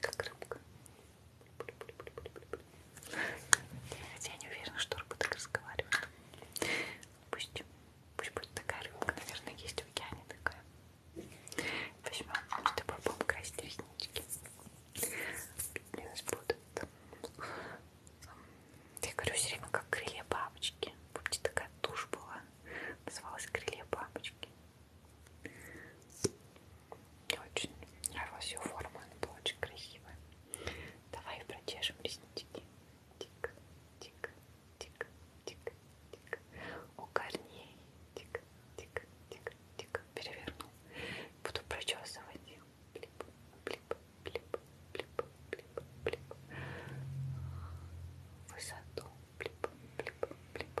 Как рыбка. Я не уверена, что рыба так разговаривает. Пусть, пусть будет такая рыбка, наверное, есть в океане такая. Возьмем с тобой будем красить реснички. Мне нас будут. Я говорю все время, как крылья бабочки. Помните, такая тушь была. Называлась крылья бабочки. Мне очень нравилась ее форма, она была очень красивая. Давай прочешем реснички. Тик, тик, тик, тик, тик. У корней. Тик, тик, тик, тик. Переверну. Буду прочесывать. Блип, блип, блип, блип, блип, блип. Высоту. Блип, блип, блип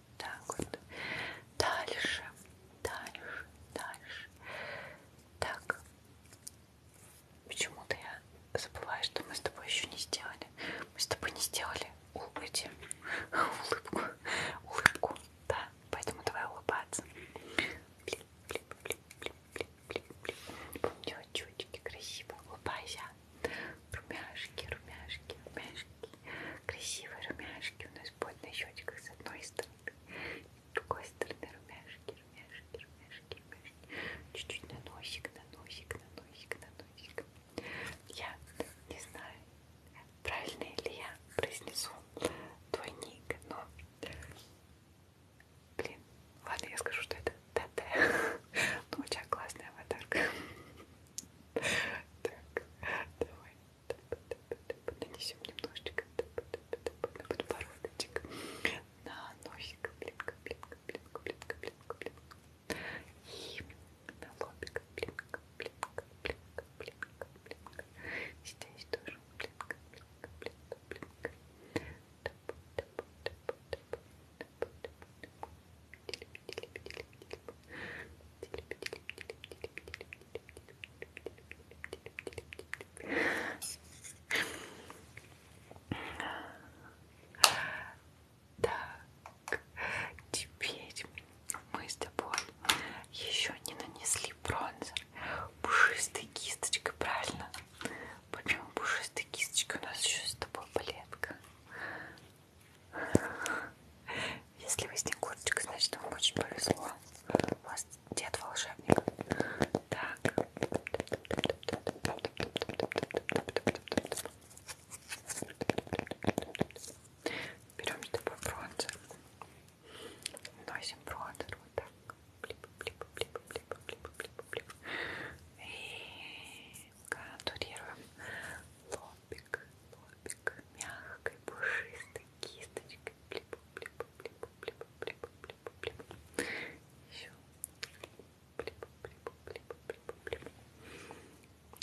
вот так вот. Дальше, дальше, дальше. Так. Почему-то я забываю, что мы с тобой еще не сделали. Мы с тобой не сделали улыбки. Улыбку. Улыбку. Да. Поэтому давай улыбаться. Блин, блин, блин, блин, блин, блин, блин. Помню, чутики красиво. Улыбайся румяшки, румяшки, румяшки, красивые румяшки у нас будет на щечках с одной стороны, с другой стороны румяшки, румяшки, румяшки, румяшки, чуть-чуть на носик, на носик, на носик, на носик. Я не знаю, правильно ли я произнесу твой ник, но блин, ладно, я скажу, что это ТТ. Ну, у тебя классная аватарка. Так, давай нанесем немножечко на подбородочек, на носик, блинка, блинка, блинка, блинка, блинка, блинка, и на лобик, блинка, блинка, блинка, блинка, блинка. Здесь тоже блинка, блинка, блинка, блинка. Тап, тап, тап, тап, тап, тап, тап, тап. Так, теперь мы с тобой еще не нанесли бронзер пушистой кисточкой, правильно? Почему пушистой кисточкой? У нас еще с тобой палетка. Если вы снегурочка, значит вам очень повезло. У вас дед волшебник. Так. Берем с тобой бронзер. Носим бронзер вот так. И контурируем лоб лобик, лобик мягкой, пушистой кисточкой. Блип, блип, блип, блип, блип, блип, блип. Еще блип, блип, блип, блип, блип.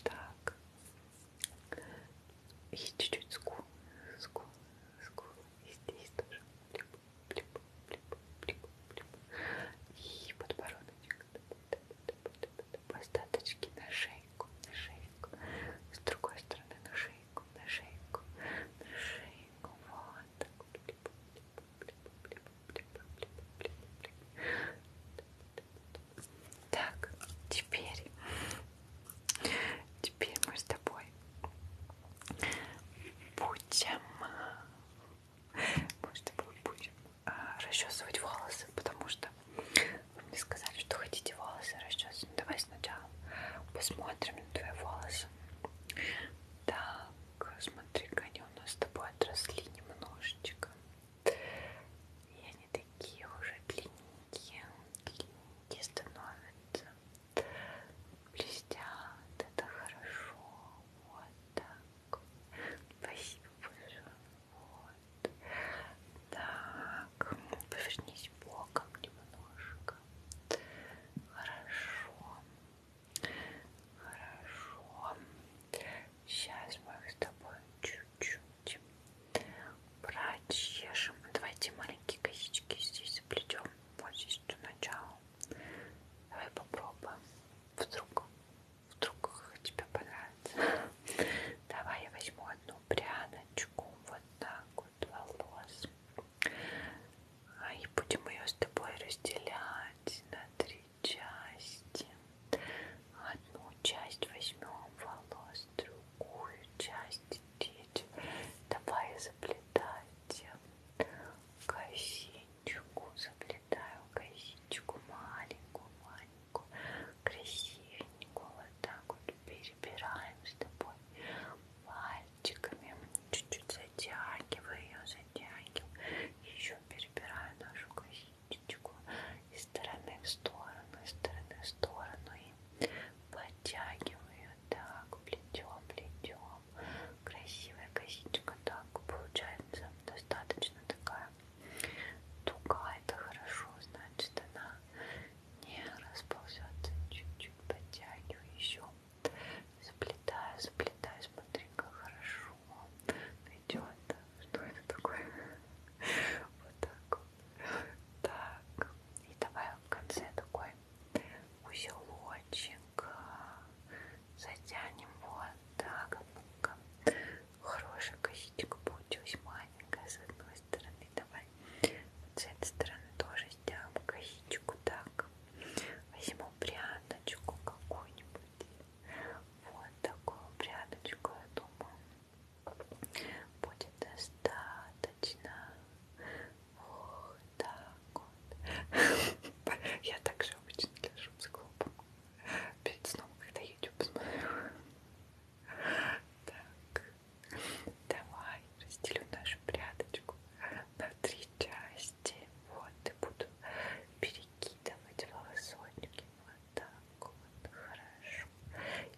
Так. И чуть-чуть скул, скул, скул. И здесь тоже блип, блип, блип, блип, блип. И подбородочек. Блип, по остаточке на шейку, на шейку, с другой стороны на шейку, на шейку, на шейку, вот так, теперь, теперь мы с тобой будем, мы с тобой будем а, расчесывать волосы, потому что вы мне сказали, что хотите волосы расчесывать. Давай сначала посмотрим на твои волосы. Так, смотри-ка, они у нас с тобой отросли немножечко. И они такие уже длинненькие, длинненькие становятся. Блестят, это хорошо. Вот так. Спасибо большое. Вот. Так, повернись боком немножко. Хорошо. Хорошо. Сейчас мы их с тобой чуть-чуть прочешем. Давайте маленькие косички здесь заплетем. Вот здесь до начала. Давай попробуем. Вдруг вдруг тебе понравится. Давай я возьму одну пряночку вот так вот волос. А, и будем ее с тобой разделять на три части. Одну часть возьмем волос, другую часть третью. Давай заплетать косичку, заплетаю косичку маленькую, маленькую красивенькую, красивенькую. Вот так вот перебираем с тобой пальчиками. Чуть-чуть затягиваю ее, затягиваю. Еще перебираю нашу косичечку из стороны в сторону, из стороны в сторону. И подтягиваю ее так, плетем, плетем. Красивая косичка так получается. Достаточно такая Туга это хорошо, значит она не расползется, чуть-чуть подтягиваю еще, заплетаю, заплетаю, смотри-ка, хорошо идет. Что это такое? Вот так Так, и давай в конце такой узелочек а, затянем вот так. Хорошая косичка получилась маленькая с одной стороны. Давай вот с этой стороны тоже сделаем косичку. Так, возьму пряночку какую-нибудь. Вот такую пряночку, я думаю, будет достаточно. Вот так вот. Я также обычно лежу с клубом. Перед сном, когда YouTube смотрю. Так, давай разделю нашу прядочку на три части. Вот, и буду перекидывать волосочки. Вот так вот, хорошо.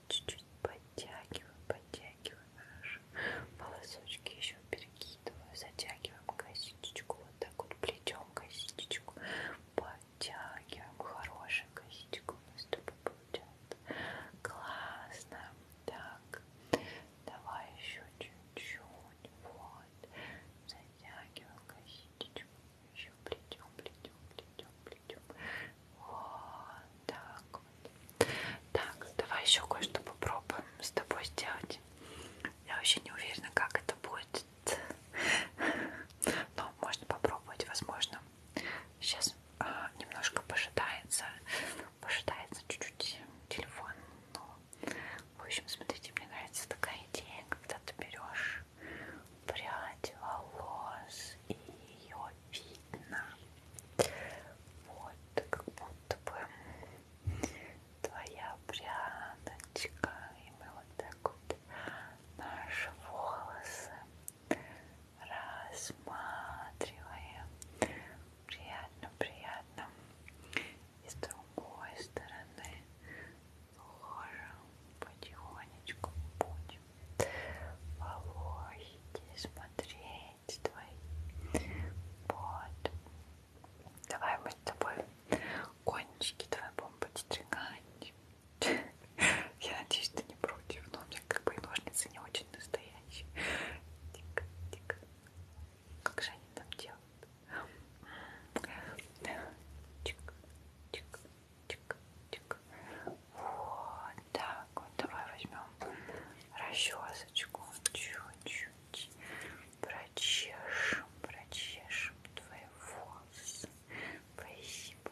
Чуть-чуть подтягиваем, подтягиваем наши волосочки. Еще перекидываю, затягиваем косичечку. Вот так вот плетем косичечку по подтягиваем хорошую косичку у нас с тобой получается классно так давай еще чуть-чуть вот затягиваем косичку еще плетем плетем плетем плетем вот так вот так давай еще кое-что попробуем с тобой сделать я вообще не уверена как это будет но можно попробовать возможно Сейчас а, немножко пожидается, пожидается чуть-чуть телефон. Ну, в общем, смотрите, мне нравится такая идея, когда ты берешь прядь волос и ее видно. Вот, как будто бы твоя прядочка, и мы вот так вот наши волосы рассматривая. Приятно, приятно. И с другой стороны тоже потихонечку будем волосики смотреть твои. Вот. Давай мы с тобой кончики твои будем подстригать. Я надеюсь, ты не против, но у меня как бы и ножницы не очень настоящие. Тик, тик. Как же они там делают? Чик, чик, чик, чик. Вот так вот. Давай возьмем расчесочку. Чуть-чуть прочешем, прочешем твои волосы. Спасибо.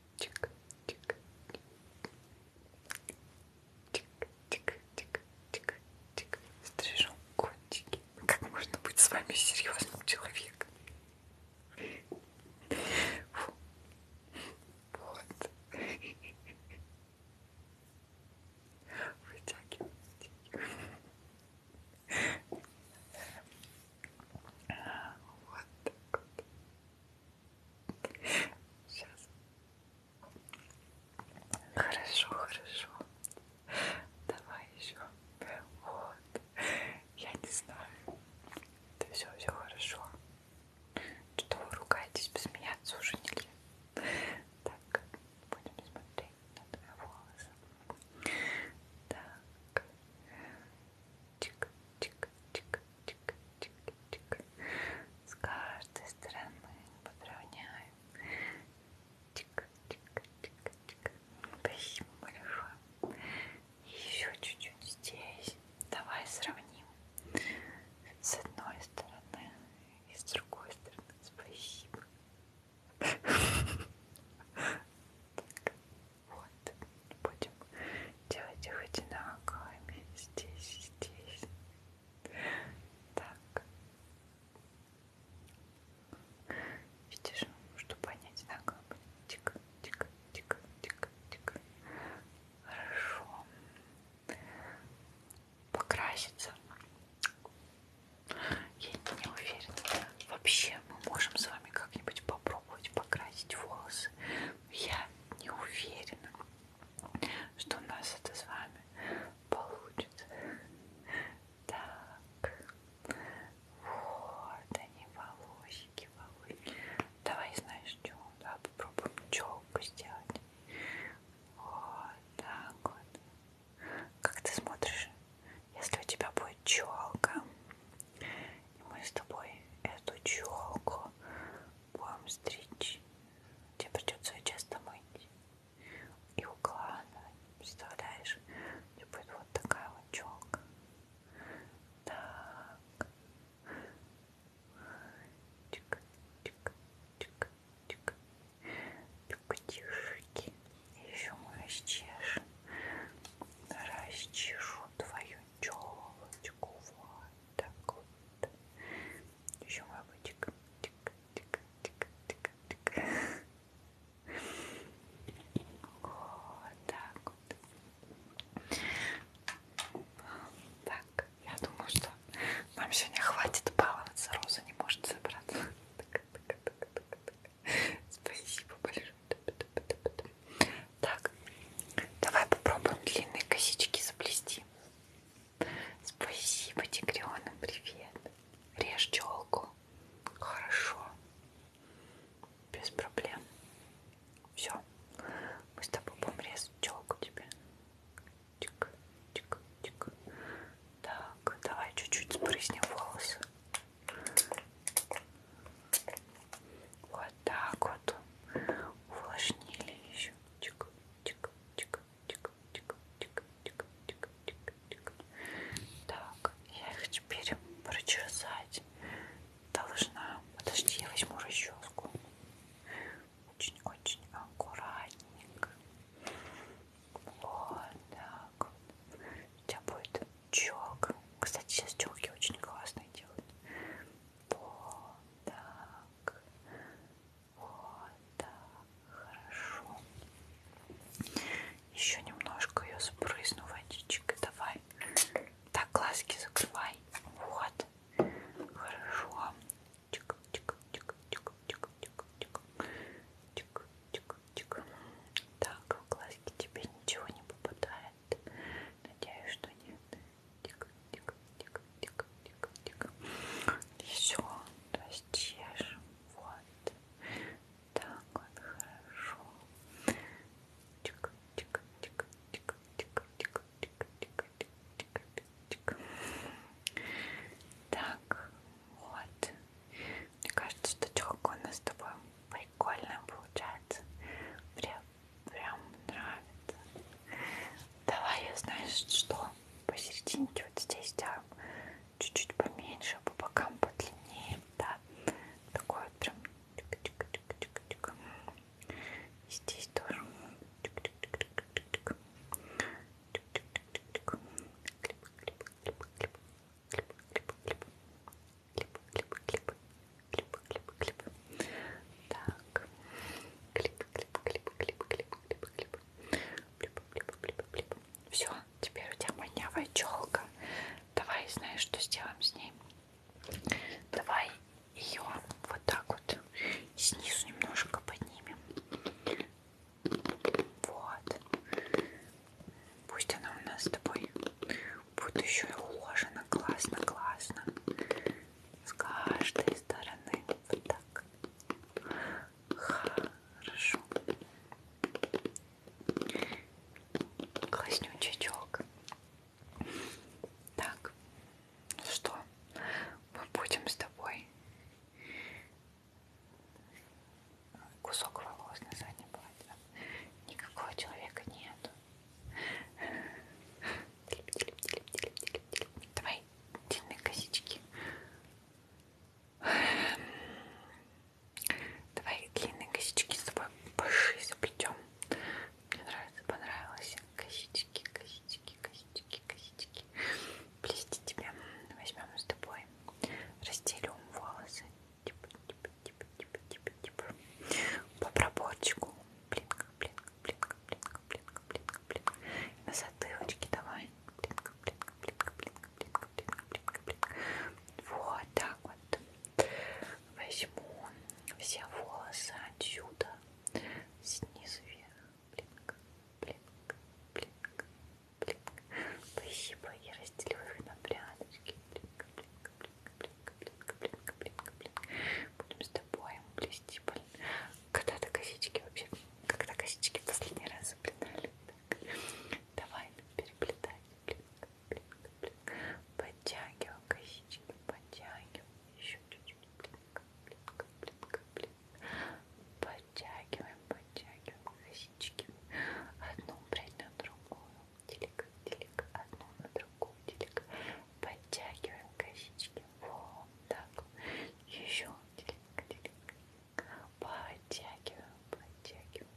Чик, чик, чик, чик, чик, чик, стрижу кончики. Как можно быть с вами серьезным человеком? Фу. Вот. Вытягивайте. Вот так вот. Сейчас. Хорошо, хорошо. Давай еще. Вот. Я не знаю. Да все, все хорошо. Что вы ругаетесь? Посмеяться уже нельзя. Так, будем смотреть на твои волосы. Так. Чик, чик, чик, чик, чик, чик. С каждой стороны подровняем. Чик, чик, чик, чик. Спасибо большое. Еще чуть-чуть здесь. Давай сравним. С одной стороны и с другой стороны. Спасибо. Так. Вот. Будем делать их одинаковыми. Здесь, здесь. Так. Видишь, чтобы они одинаковые были. Тик, тик, тик, тик, тик. Хорошо. Покраситься. Я не уверена. Вообще мы можем с вами как-нибудь попробовать попробовать покрасить волосы. Я не уверена, что у нас это с вами получится. Так, вот они, волосики, волосики. Давай, знаешь, что? Да, попробуем челку сделать. Вот так вот. Как ты смотришь? Если у тебя будет челка, и мы с тобой эту челку будем стричь. Тебе придется ее часто мыть и укладывать. Представляешь? Тебе будет вот такая вот челка. Так. Чик, чик, чик, чик. Пикатишки. Еще мы расчешем. Расчешу твою челочку, вот так вот. Еще мы бы тик тик тик тик тик тик Вот так вот. Так, я думаю, что нам сегодня хватит баловаться. Роза не может собраться. Спасибо большое. Так, давай попробуем длинные косички заплести. Спасибо, тигренок, привет. Режь челку. Хорошо. Без проблем. Все. Мы с тобой будем резать челку тебе. Тик, тик, тик. Так, давай чуть-чуть спрыснем волосы. Вот так вот увлажнили еще. Чик, чик, чик, чик, чик, чик, чик, чик, чик, чик. Так, я их теперь прочесать должна. Подожди, я возьму расческу. Очень-очень аккуратненько. Вот так вот. У тебя будет чок. Кстати, сейчас челки очень классные делают. Вот так. Вот так. Хорошо. Еще немножко ее спрызну водичкой. Давай. Так, глазки закрывай. Вот. Хорошо. Чик, чик, чик, чик, чик, чик, чик. Чик, чик, чик. Так, в глазки тебе ничего не попадает. Надеюсь, что нет. Еще, то есть чешем. Вот. Так вот, хорошо. Так, вот. Мне кажется, что чехол у нас с тобой прикольно получается. Прям Прям нравится. Давай я, знаешь, что? Посерединке вот здесь, да, чуть-чуть поменьше, по бокам подлиннее, да. Такой вот прям тик-тик-тик-тик-тик. И здесь тоже. Тик-тик-тик-тик-тик. Тик-тик-тик-тик. Клип-клип-клип-клип. Клип-клип-клип клип, клип, клип, клип, клип, клип. Так, клип, клип, клип, клип, клип, клип, клип, клип, клип, клип, клип. Все, теперь у тебя манявая челка. Давай, знаешь, что сделаем с ней? Давай ее вот так вот снизу немножко поднимем. Вот. Пусть она у нас с тобой Будет еще и уложено классно, классно. С каждой стороны. Вот так. Хорошо. Класснючий чок. Так. Ну что? Мы будем с тобой кусок волос на заднем платье. Никакого человека нету. Давай, длинные косички. Давай длинные косички с тобой больше заплетем. Мне нравится, понравилось. Косички, косички, косички, косички. Плести тебе возьмем с тобой. Разделим волосы. Типа, типа, типа типа, типа, типа, типа. По проборчику. Блинка, блинка, блинка, блинка, блинка, блинка, блинка. И на затылочке давай. Блинка, блинка, блинка, блинка, блинка, блинка, блинка, блинка. Вот так вот. Возьму все волосы отсюда. Снизу вверх. Блинка, блинка, блинка, блинка. Спасибо. Я разделю их на прядочки. Блинка, блинка блинка, блинка, блинка, блинка. Будем с тобой плести, блин. Когда-то косички вообще, когда косички в последний раз заплетали. Так. Давай переплетай. Блинка, блинка, блинка. Подтягиваем косички, подтягиваем. Еще чуть-чуть. Блинка, блинка, блинка, блинка. Подтягиваем, подтягиваем косички. Одну прядь на другую делик, делик, одну на другую, делик, подтягиваем косички, вот так, еще делик, делик, подтягиваем, подтягиваем,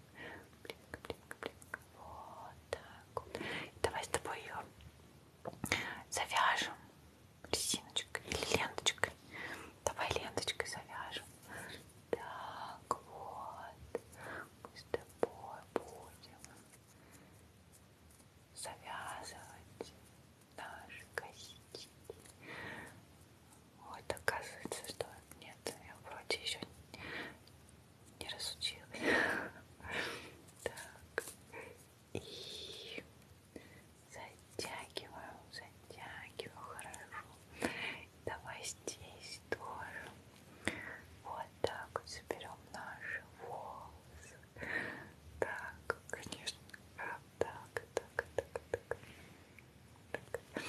блинк, блинк, блинк, вот так вот. Давай с тобой ее завяжем резиночкой или ленточкой. Давай ленточкой завяжем. Так вот, мы с тобой будем завязывать наши косички. Вот оказывается, что нет, я вроде еще не разучилась. Так. И затягиваю, затягиваю хорошо. Давай здесь тоже. Вот так, заберем наши волосы. Так, конечно. А, так, так, так, так. так.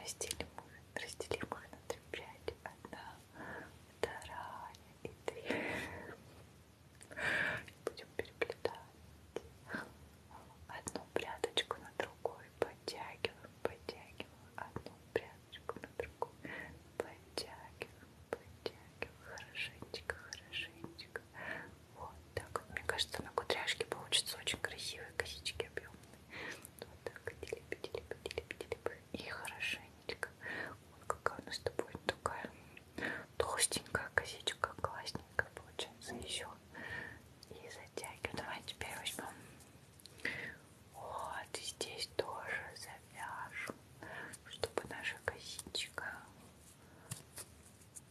Разделим их, разделим их на три пряди. Одна, вторая и три. Будем переплетать. Одну прядочку на другой подтягиваем, подтягиваем одну прядочку чашечку, на другую. Подтягиваем, подтягиваем. Хорошенечко, хорошенечко. Вот так вот. Мне кажется, на кудряшке получится очень красивые косички объемные. Вот так. Делип, делип, делип, делип. И хорошенечко. Вот какая у нас с тобой такая толстенькая косичка. Классненькая получается еще. И затягиваем. Давай теперь возьмем вот, и здесь тоже завяжем, чтобы наша косичка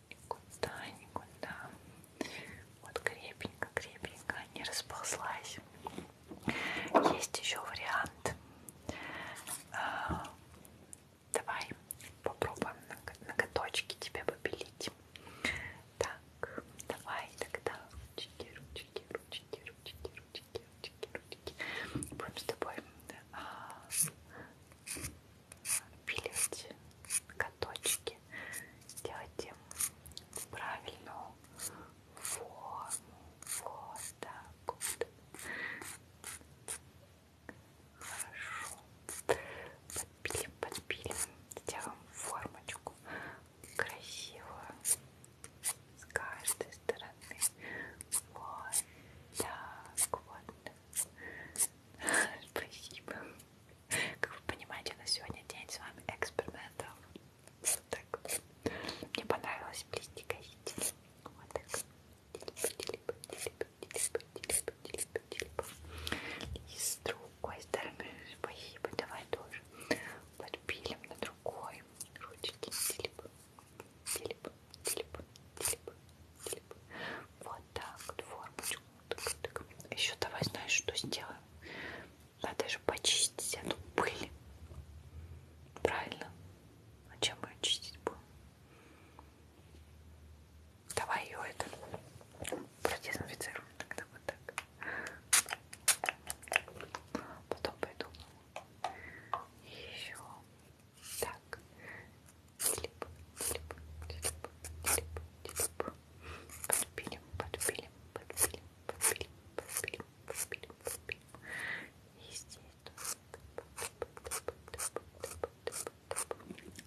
никуда-никуда вот крепенько-крепенько не расползлась. Есть еще вариант. А, давай попробуем ноготочки тебе попилить. Так, давай тогда ручки, ручки, ручки, ручки, ручки, ручки, ручки. Будем с тобой а, пилить каточки, делать им правильную форму. Вот так вот. Хорошо. Подпилим, подпилим. Сделаем формочку красивую с каждой стороны. Вот так вот. Спасибо. Как вы понимаете, на сегодня день с вами экспериментов. Вот так. Мне понравилось плести косички. Вот так. И с другой стороны, спасибо, давай тоже подпилим на другой ручки. Телепа. Телеп, телеп, телеп, телеп. Вот так вот формочку. Тык, тык. Еще давай знаешь, что сделаем? Надо же почистить эту пыль. Правильно? А чем мы ее чистить будем? Давай ее это продезинфицируем тогда вот так. Потом пойду еще так слип, слип, слип, слип, слип. подпилим, подпилим, подпилим, подпилим, подпилим, подпилим, подпилим. И здесь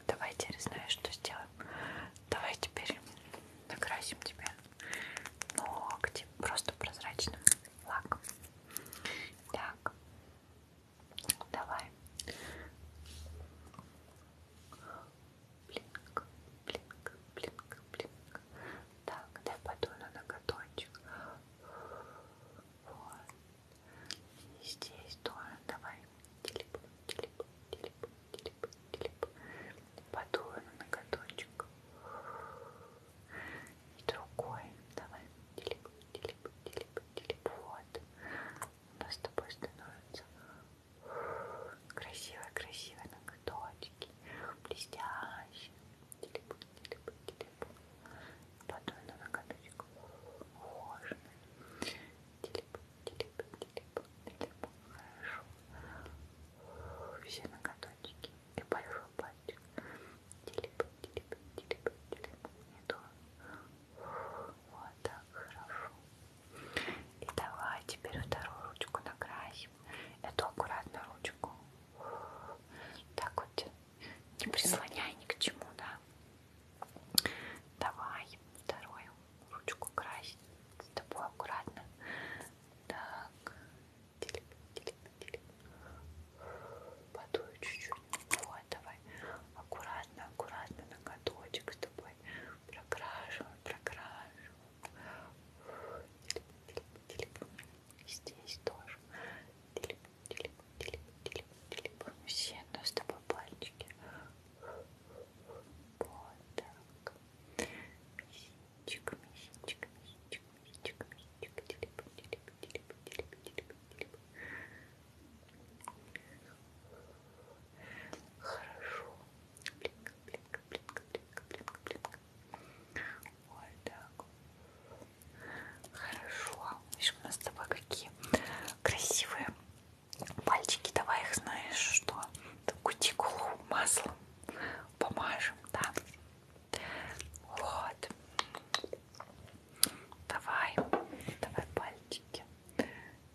Давай теперь знаешь, что сделаем. Давай теперь накрасим тебя ногти просто прозрачным флаг. Так, давай. Блинк, блинк, блинк, блинк. Так, дай подуну на ноготочек. Вот. И здесь тоже давай. Телеп, телеп, телеп, телеп, телеп. Подую на ноготочек и другой. Давай, телеп, телеп, телеп, телеп. Вот. У нас с тобой становятся красивые-красивые ноготочки, блестящие. Телеп, телеп, телеп. Потом на ноготочек ухоженный. Телеп, телеп, телеп, телеп. Хорошо. Все ноготочки и большой пальчик. Телеп, телеп, телеп, телеп. Не то. Вот так, хорошо. И давай теперь вторую ручку накрасим. Эту аккуратно ручку. Так вот. Не прислоняй ни к чему, да? Давай вторую ручку красить. С тобой аккуратно. Так. Подуй чуть-чуть. Вот, давай. Аккуратно, аккуратно ноготочек с тобой. Прокрашиваем, прокрашиваем. Здесь тоже. Все, но ну, с тобой пальчики. Вот так. Мизинчик. Чик, чик, чик, чик, чик, телеп, телеп, телеп, телеп, телеп, телеп. Хорошо. Блинка, блинка, блинка, блинка, блинка, блинка. Вот так. Хорошо. Видишь, у нас с тобой какие красивые пальчики. Давай их, знаешь, что? Кутикулу маслом помажем, да? Вот. Давай, давай пальчики.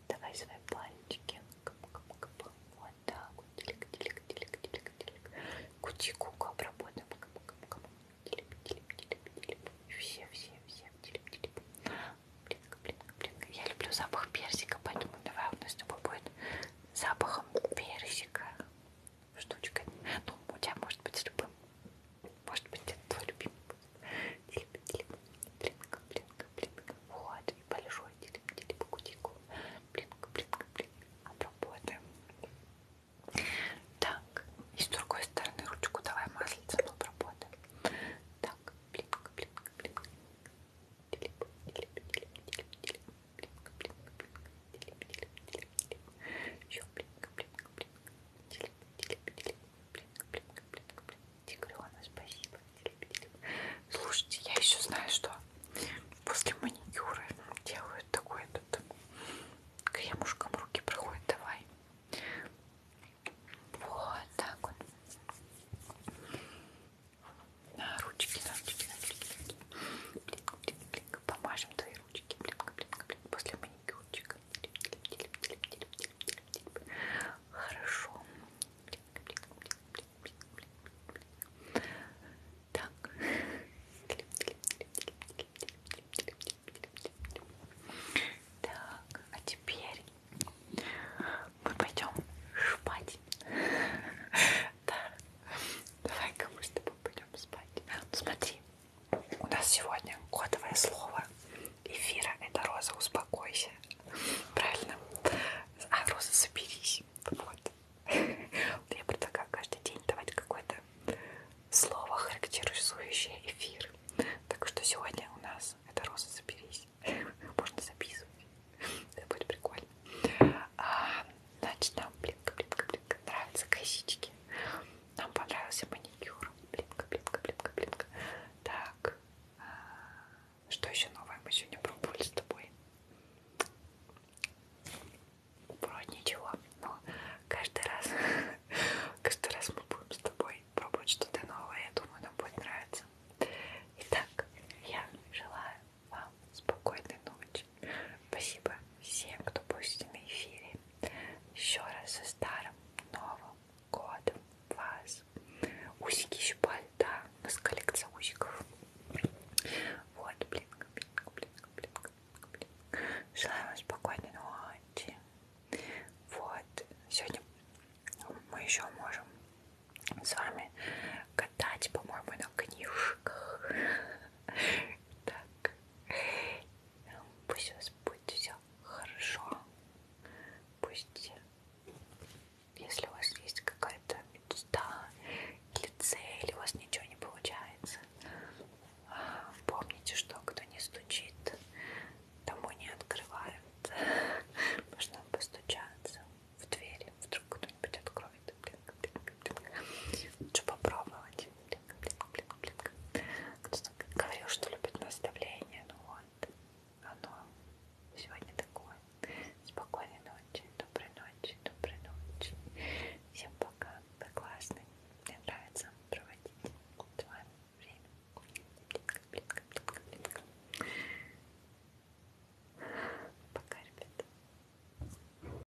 Давай свои пальчики. Вот так вот. Телек, телек, телек, телек, телек. Кутикуку обработаем. Телеп, телеп, телеп, телеп. Все, все, все. Телеп, телеп. Блинка, блинка, блинка. Я люблю запах персика, поэтому давай у нас с тобой будет запахом персика штучкой. Ну, у тебя может быть с любым. Может быть, это твой любимый будет. Телеп, блинка, блинка, блинка. Вот, и большой телеп, телеп, кутикул. Блинка, блинка, блинка. Обработаем. Так, и с другой стороны ручку давай маслицем обработаем. Так, блинка, блинка, блинка. Телеп, телеп, телеп, телеп, телеп блинка, блинка, блинка, делим, делим, делим, делим. Еще блинка, блинка, блинка, делим, делим, делим. Блинка, блинка, блинка, блинка. Тигрена, спасибо, делим, делим. Слушайте, я еще знаю, что после маникюра делают такой этот кремушком руки проходят. Давай. Вот так вот. На ручки, на ручки, на ручки. Блинка, блинка, блинка. Помажем твои ручки после маникюрчика. Хорошо. Так. Так, а теперь мы пойдем спать. Да. Давай-ка мы с тобой пойдем спать. Смотри, у нас сегодня кодовое слово эфира. Это Роза, успокойся. Правильно? А, Роза, соберись. Вот. Я предлагаю каждый день давать какое-то слово, характеризующее эфир. Так что сегодня у нас это Роза, соберись. Можно записывать. Это будет прикольно. А, Значит, нам плитка, плитка, плитка. Нравятся косички. Нам понравился маникюр. Плитка, плитка, плитка, плитка. Так. Что еще новое мы сегодня пробовали с тобой? Вроде ничего. Но каждый раз, каждый раз мы будем с тобой пробовать что-то новое. Я думаю, нам будет нравиться. Итак, я желаю вам спокойной ночи. Спасибо всем, кто был с нами в эфире. Еще раз со старым Новым годом вас. Усики щипали, да, у нас коллекция усиков. Вот, блин, блин, блин, блин, блин. Желаю вам спокойной ночи. Вот, сегодня мы еще можем с вами катать, по-моему, на книжках. Так. Ну, пусть у вас будет все хорошо. Пусть, если у вас есть какая-то мечта или цель, у вас ничего не получается, а, помните, что кто не стучит, тому не открывают. Можно постучаться в двери, вдруг кто-нибудь откроет. Лучше попробовать. Кто-то говорил, что любит наставление, ну вот, оно сегодня такое. Спокойной ночи, доброй ночи, доброй ночи. Всем пока, вы классные. Мне нравится проводить с вами время. Пока, ребята.